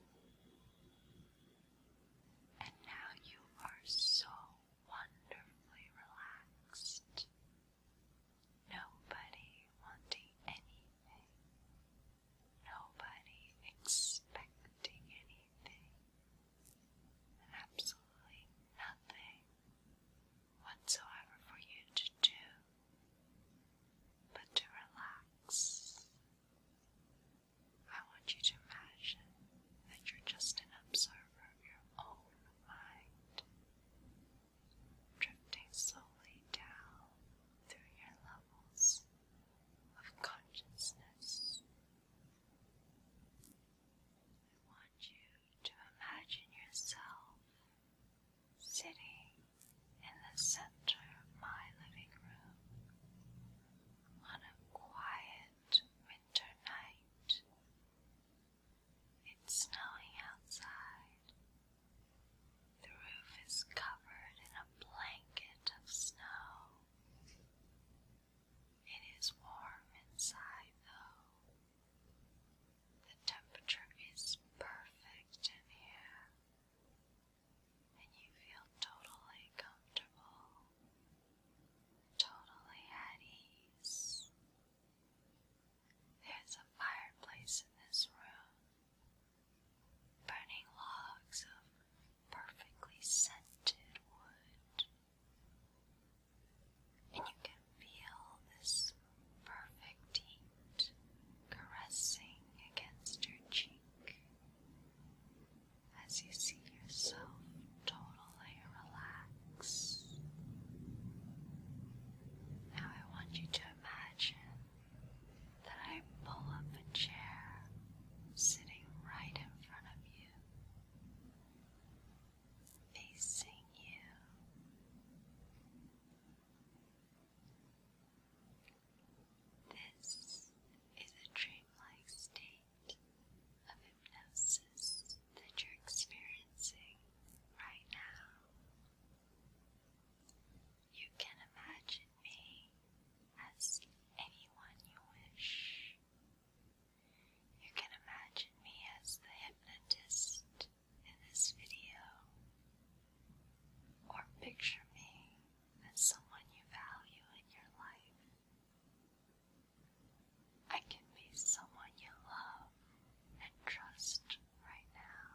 And now you are so wonderfully relaxed Nobody wanting anything. Nobody expecting anything. Absolutely nothing whatsoever for you to do but to relax. I want you to imagine that you're just an observer of your own mind drifting slowly down through your levels of consciousness. I want you to imagine yourself sitting in the center of my living room on a quiet winter night it's snowing outside. The roof is covered in a blanket of snow. It is warm inside, though. The temperature is perfect in here, and you feel totally comfortable, totally at ease. There's a fireplace in this room, burning logs of perfectly scented wood. And you can feel this perfect heat caressing against your cheek as you see yourself totally relaxed. Now I want you to imagine that I pull up a chair sitting right in front of you, facing you. This is a dreamlike state of hypnosis that you're experiencing right now. You can imagine me as anyone you wish. You can imagine me as the hypnotist in this video, or picture me as someone you value in your life. I can be someone you love and trust right now.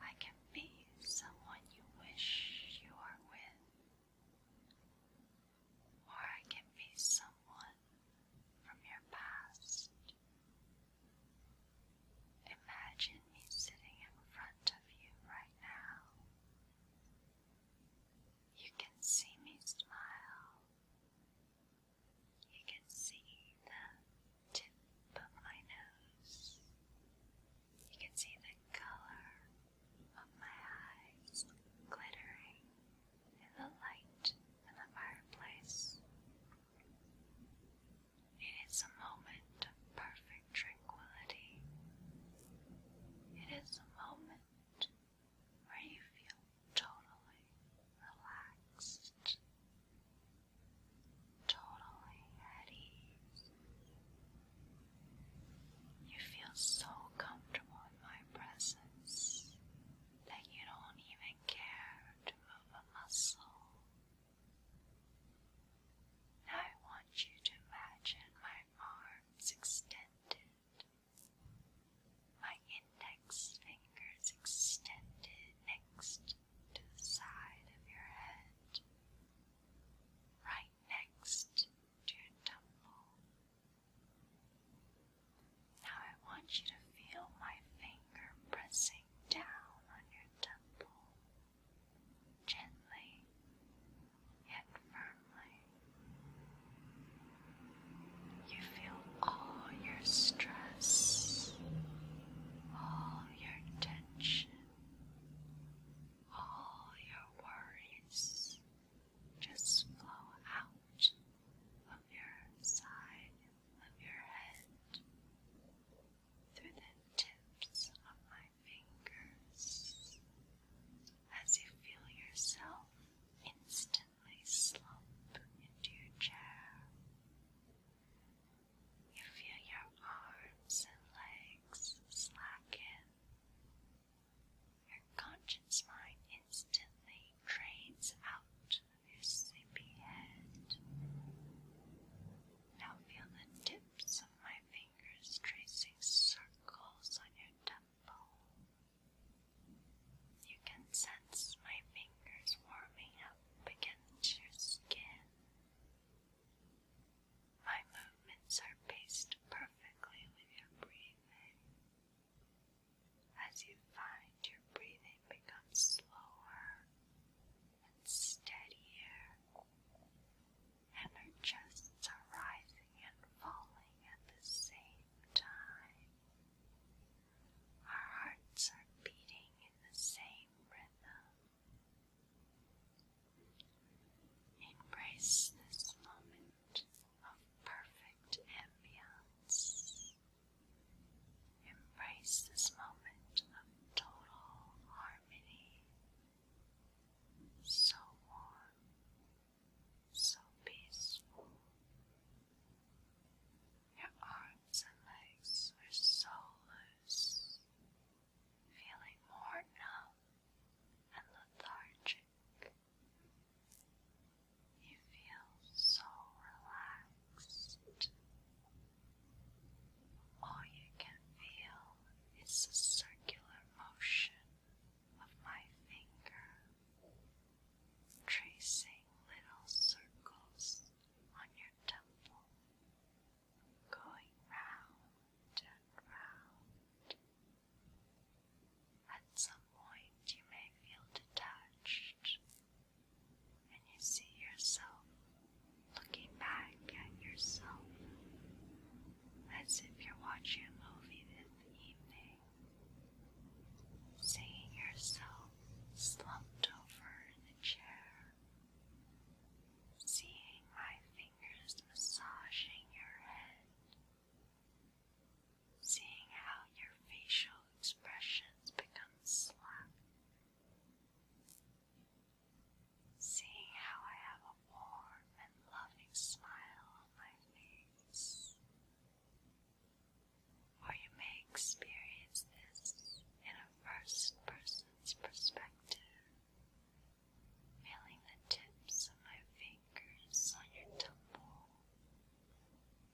I can be someone you wish you are with, or I can be someone from your past. Imagine me sitting in front of you right now. You can see me smile. You can see the tip of my nose. You can see the color of my eyes glittering in the light in the fireplace. It is a moment of perfect tranquility. It is a moment where you feel totally relaxed, totally at ease. You feel so comfortable in my presence that you don't even care to move a muscle. I want you to imagine my arms extended my index finger is extended next to the side of your head, right next to your temple. Now I want you to feel my finger pressing down on your temple, gently yet firmly. You feel all your stress, all your tension, all your worries just flow out of your side of your head through the tips of my fingers as you feel yourself instant gently slump into your chair. You feel your arms and legs slacken. Your conscious mind instantly drains out of your sleepy head. Now feel the tips of my fingers tracing circles on your temple. You can sense my fingers warming up against your skin. My movements are paced perfectly with your breathing. As you find your breathing becomes slower and steadier, and our chests are rising and falling at the same time. Our hearts are beating in the same rhythm. Embrace this moment of perfect ambience. Embrace this moment of total harmony. So warm, so peaceful, your arms and legs are so loose, feeling more numb and lethargic. You feel so relaxed. All you can feel is the circular motion of my finger, tracing little circles on your temple, going round and round. At some point, you may feel detached, and you see yourself looking back at yourself as if you're watching a movie in the evening seeing yourself slumped over in a chair, seeing my fingers massaging your head, seeing how your facial expressions become slack. Seeing how I have a warm and loving smile on my face, or you may experience this in a first person's perspective, feeling the tips of my fingers on your temple,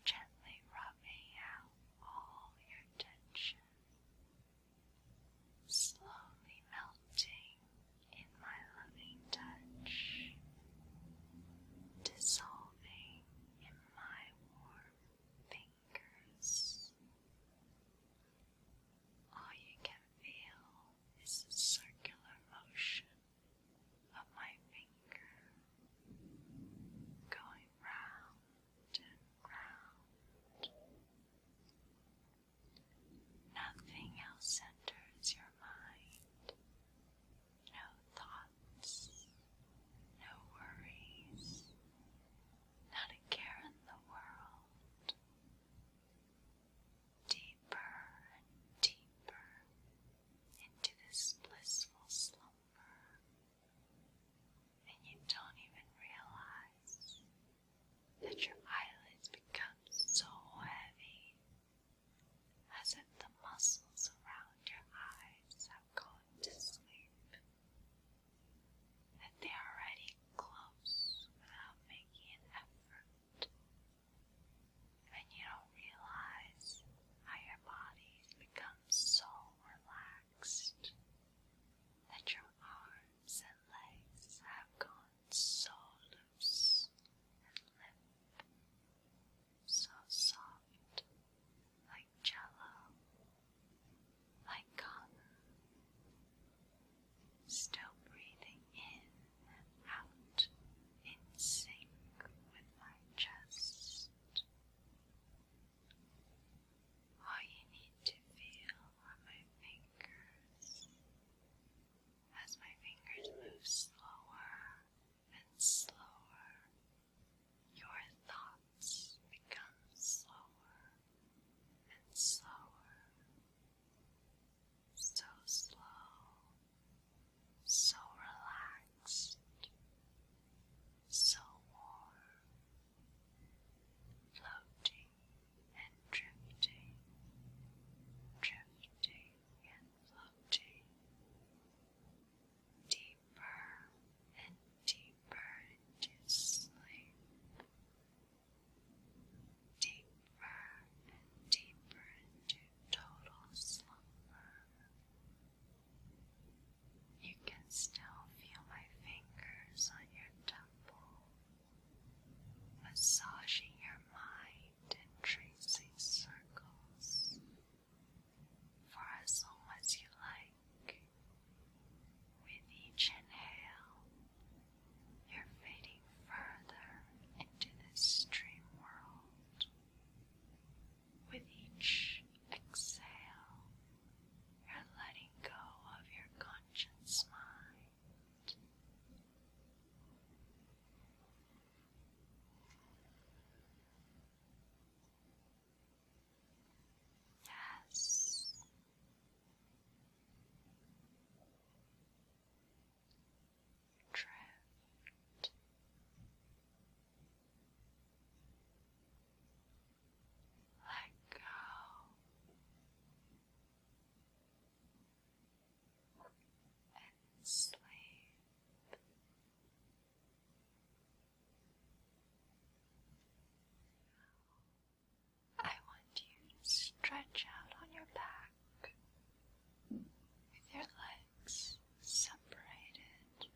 gently rubbing out all your tension, slowly melting in my loving touch, dissolving in my warm fingers. All you can feel is the circular motion of my finger going round and round. Nothing else enters your mind. No thoughts no worries, not a care in the world. Deeper and deeper into this blissful slumber, and you don't even realize that your eyelids become so heavy. As if the muscles around your eyes have gone to sleep that they are already close without making an effort, and you don't realize how your body becomes so relaxed that your arms and legs have gone so loose and limp, so soft like jello, like cotton, still breathing in and out in sync with my chest. All you need to feel are my fingers. As my fingers move slower and slower your thoughts become slower and slower, so slow, so relaxed, so warm, floating and drifting, drifting and floating. Deep deeper and deeper into sleep, deeper and deeper into total slumber. You can still feel my fingers on your temple, massaging your mind and tracing circles for as long as you like. With each inhale, you're fading further into this dream world. With each exhale, you're letting go of your conscious mind. Yes. Drift. Let go and sleep. I want you to stretch out on your back with your legs separated,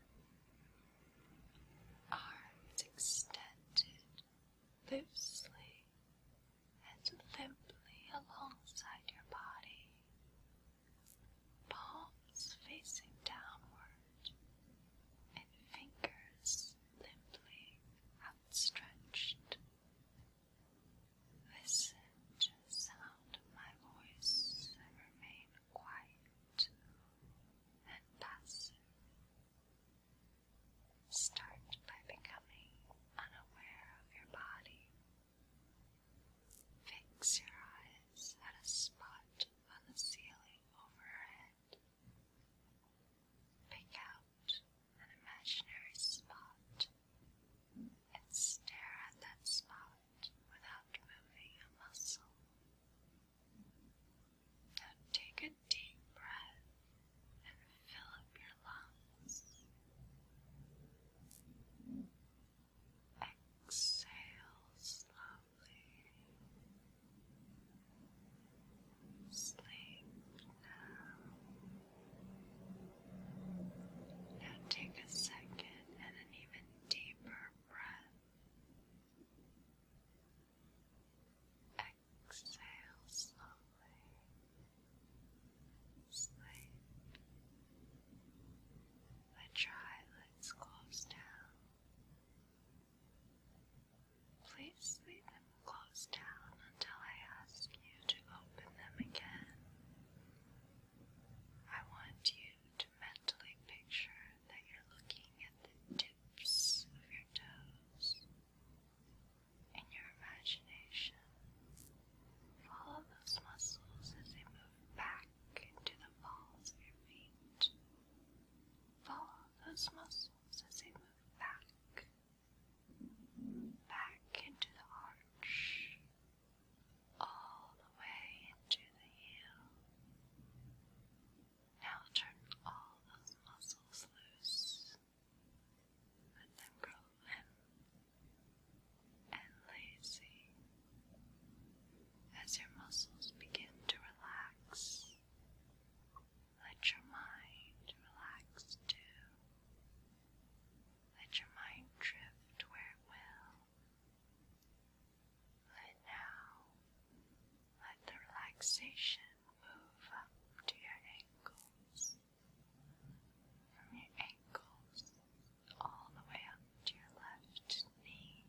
arms extended loosely and limply alongside your body, palms facing downward and fingers limply outstretched. Listen to sound my voice remain quiet and passive. Start by becoming unaware of your body. Fix your eyes at a spot on the ceiling overhead. Pick out an imaginary spot and stare at that spot without moving a muscle. Now take a deep breath and fill up your lungs. Exhale slowly. Sleep now. Now take a second and an even deeper breath. Exhale slowly. Sleep. Let eyelids close down. Please leave them closed down until I ask you to open them again. I want you to mentally picture that you're looking at the tips of your toes. In your imagination, follow those muscles as they move back into the balls of your feet. Follow those muscles as they move back, back into the arch, all the way into the heel. Now turn all those muscles loose. Let them grow limp and lazy. As your muscles begin to relax, let your mind relax too. Let your mind drift where it will. Let now, let the relaxation move up to your ankles. From your ankles all the way up to your left knee.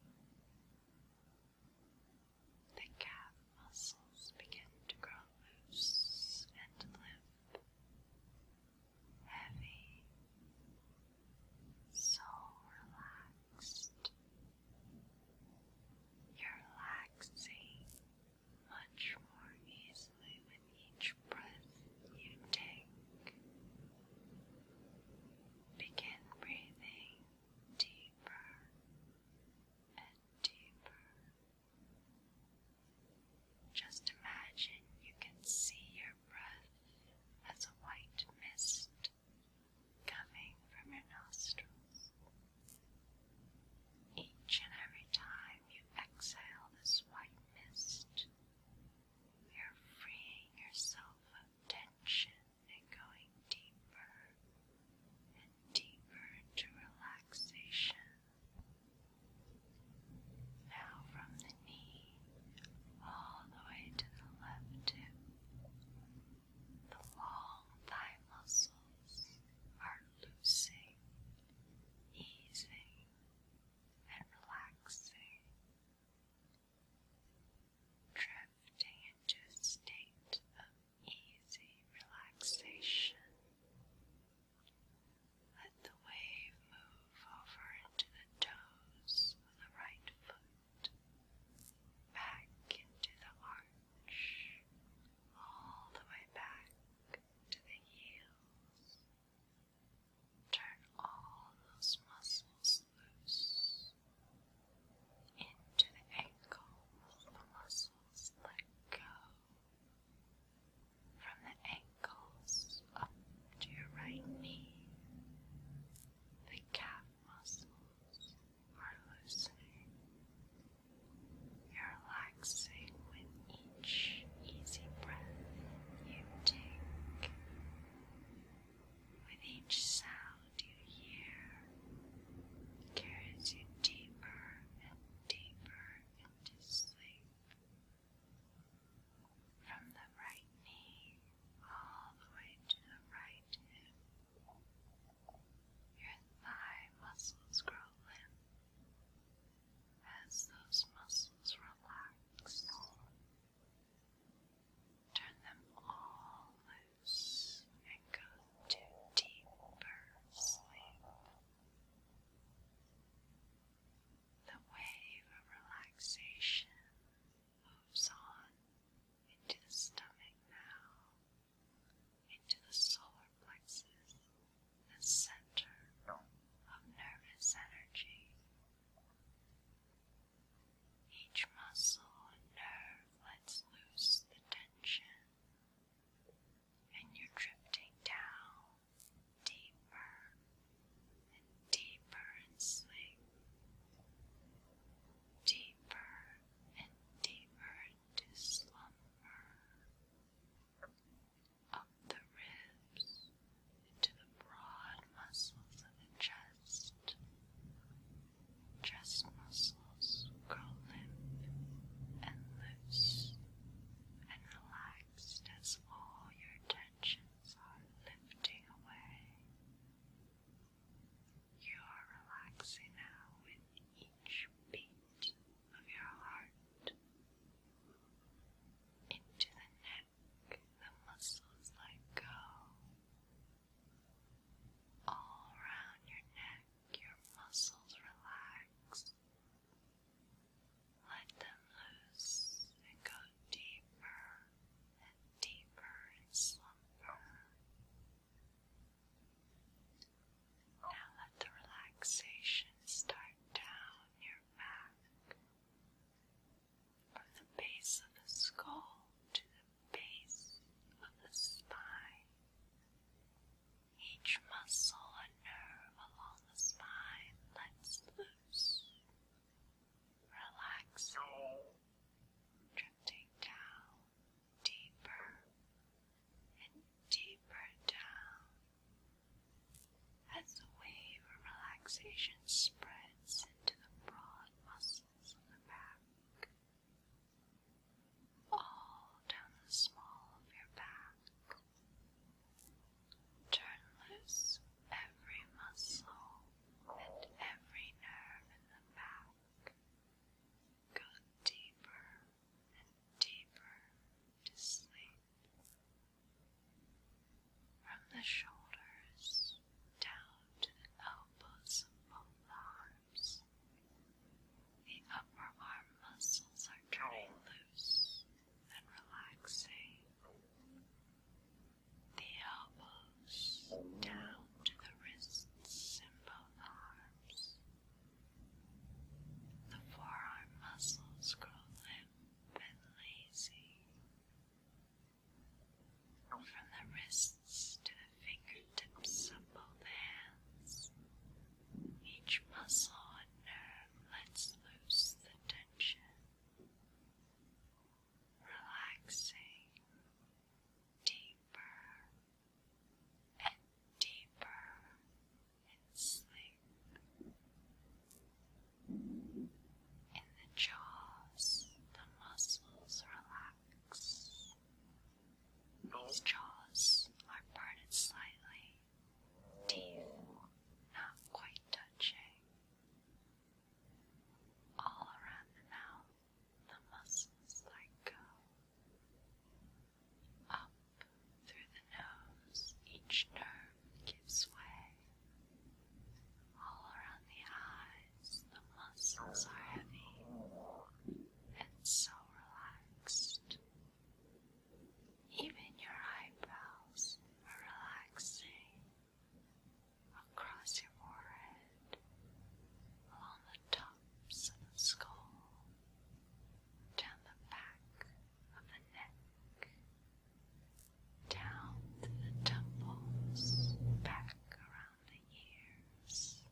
The calf muscles begin to grow loose and limp, heavy, so relaxed. You're relaxing much more easily with each breath you take. Begin breathing deeper and deeper. Just imagine you can see your breath as a white mist coming from your nostrils. Each and every time you exhale this white mist, you're freeing yourself of tension and going deeper and deeper into relaxation. Now from the knee all the way to the left hip, the long thigh muscles are loosing, easing, and relaxing. Drifting into a state of easy relaxation. Let the wave move over into the toes of the right foot, back into the arch, all the way back to the heels. Turn all those muscles loose into the ankles, the muscles let go from the ankles up to your right knee. The calf muscles are loosening. You're relaxing with each easy breath you take. With each sound hold you here deeper and deeper into sleep. From the right knee all the way to the right hip, your thigh muscles grow limp. As those muscles relax, turn them all loose and go to deeper sleep. The wave of relaxation moves on into the stomach now, into the solar plexus, the center of nervous energy. Each muscle and nerve lets loose the tension attention, and you're drifting down deeper and deeper in sleep, deeper and deeper into slumber, up the ribs into the broad muscles of the chest chest, muscles grow limp and loose and relaxed as all your tensions are lifting away. You are relaxing now with each beat of your heart. Into the neck, the muscles let go all around your neck, your muscles relax. Let them loose and go deeper and deeper in slumber. Now let the relaxation start down your back, from the base of the skull to the base of the spine. Each muscle and nerve along the spine lets loose, relaxing, drifting down deeper and deeper down as the wave of relaxation spreads into the broad muscles of the back all down the small of your back. Turn loose every muscle and every nerve in the back. Go deeper and deeper to sleep. From the shoulders down to the elbows of both arms. The upper arm muscles are turning loose and relaxing. The elbows down to the wrists and both arms. The forearm muscles grow limp and lazy. From the wrists to fingertips of both hands. Each muscle and nerve lets loose the tension, relaxing deeper and deeper in sleep. In the jaws, the muscles relax. Its jaws are parted slightly, teeth not quite touching. All around the mouth, the muscles let go. Up through the nose, each nerve gives way. All around the eyes, the muscles are heavy, and so even your eyebrows are relaxing across your forehead, along the tops of the skull, down the back of the neck, down to the temples, back around the ears.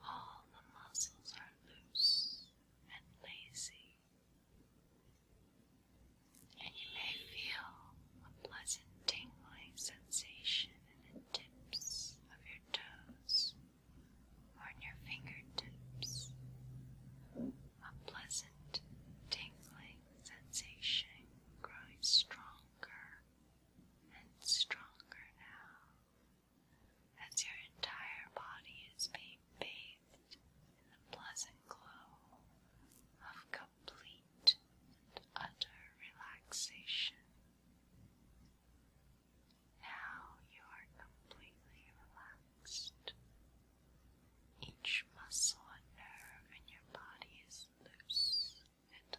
All the muscles are loose and lazy, and you may feel a pleasant tingling sensation in the tips of your toes or in your fingertips. A pleasant tingling sensation growing stronger and stronger now as your entire body is being bathed in the pleasant glow of complete and utter relaxation. Now you are completely relaxed. Each muscle and nerve in your body is loose and limp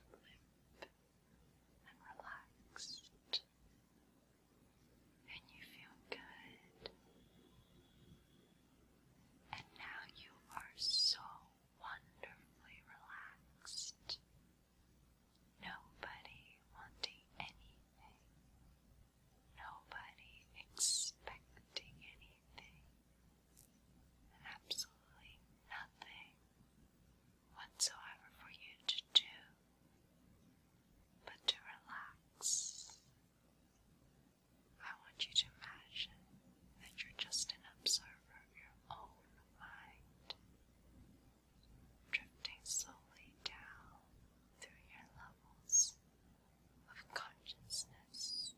and relaxed, and you feel good. And now you are so wonderfully relaxed. Nobody wanting anything. Nobody expecting anything. Absolutely nothing whatsoever for you to do, but to relax. I want you to imagine that you're just an observer of your own mind, drifting slowly down through your levels of consciousness.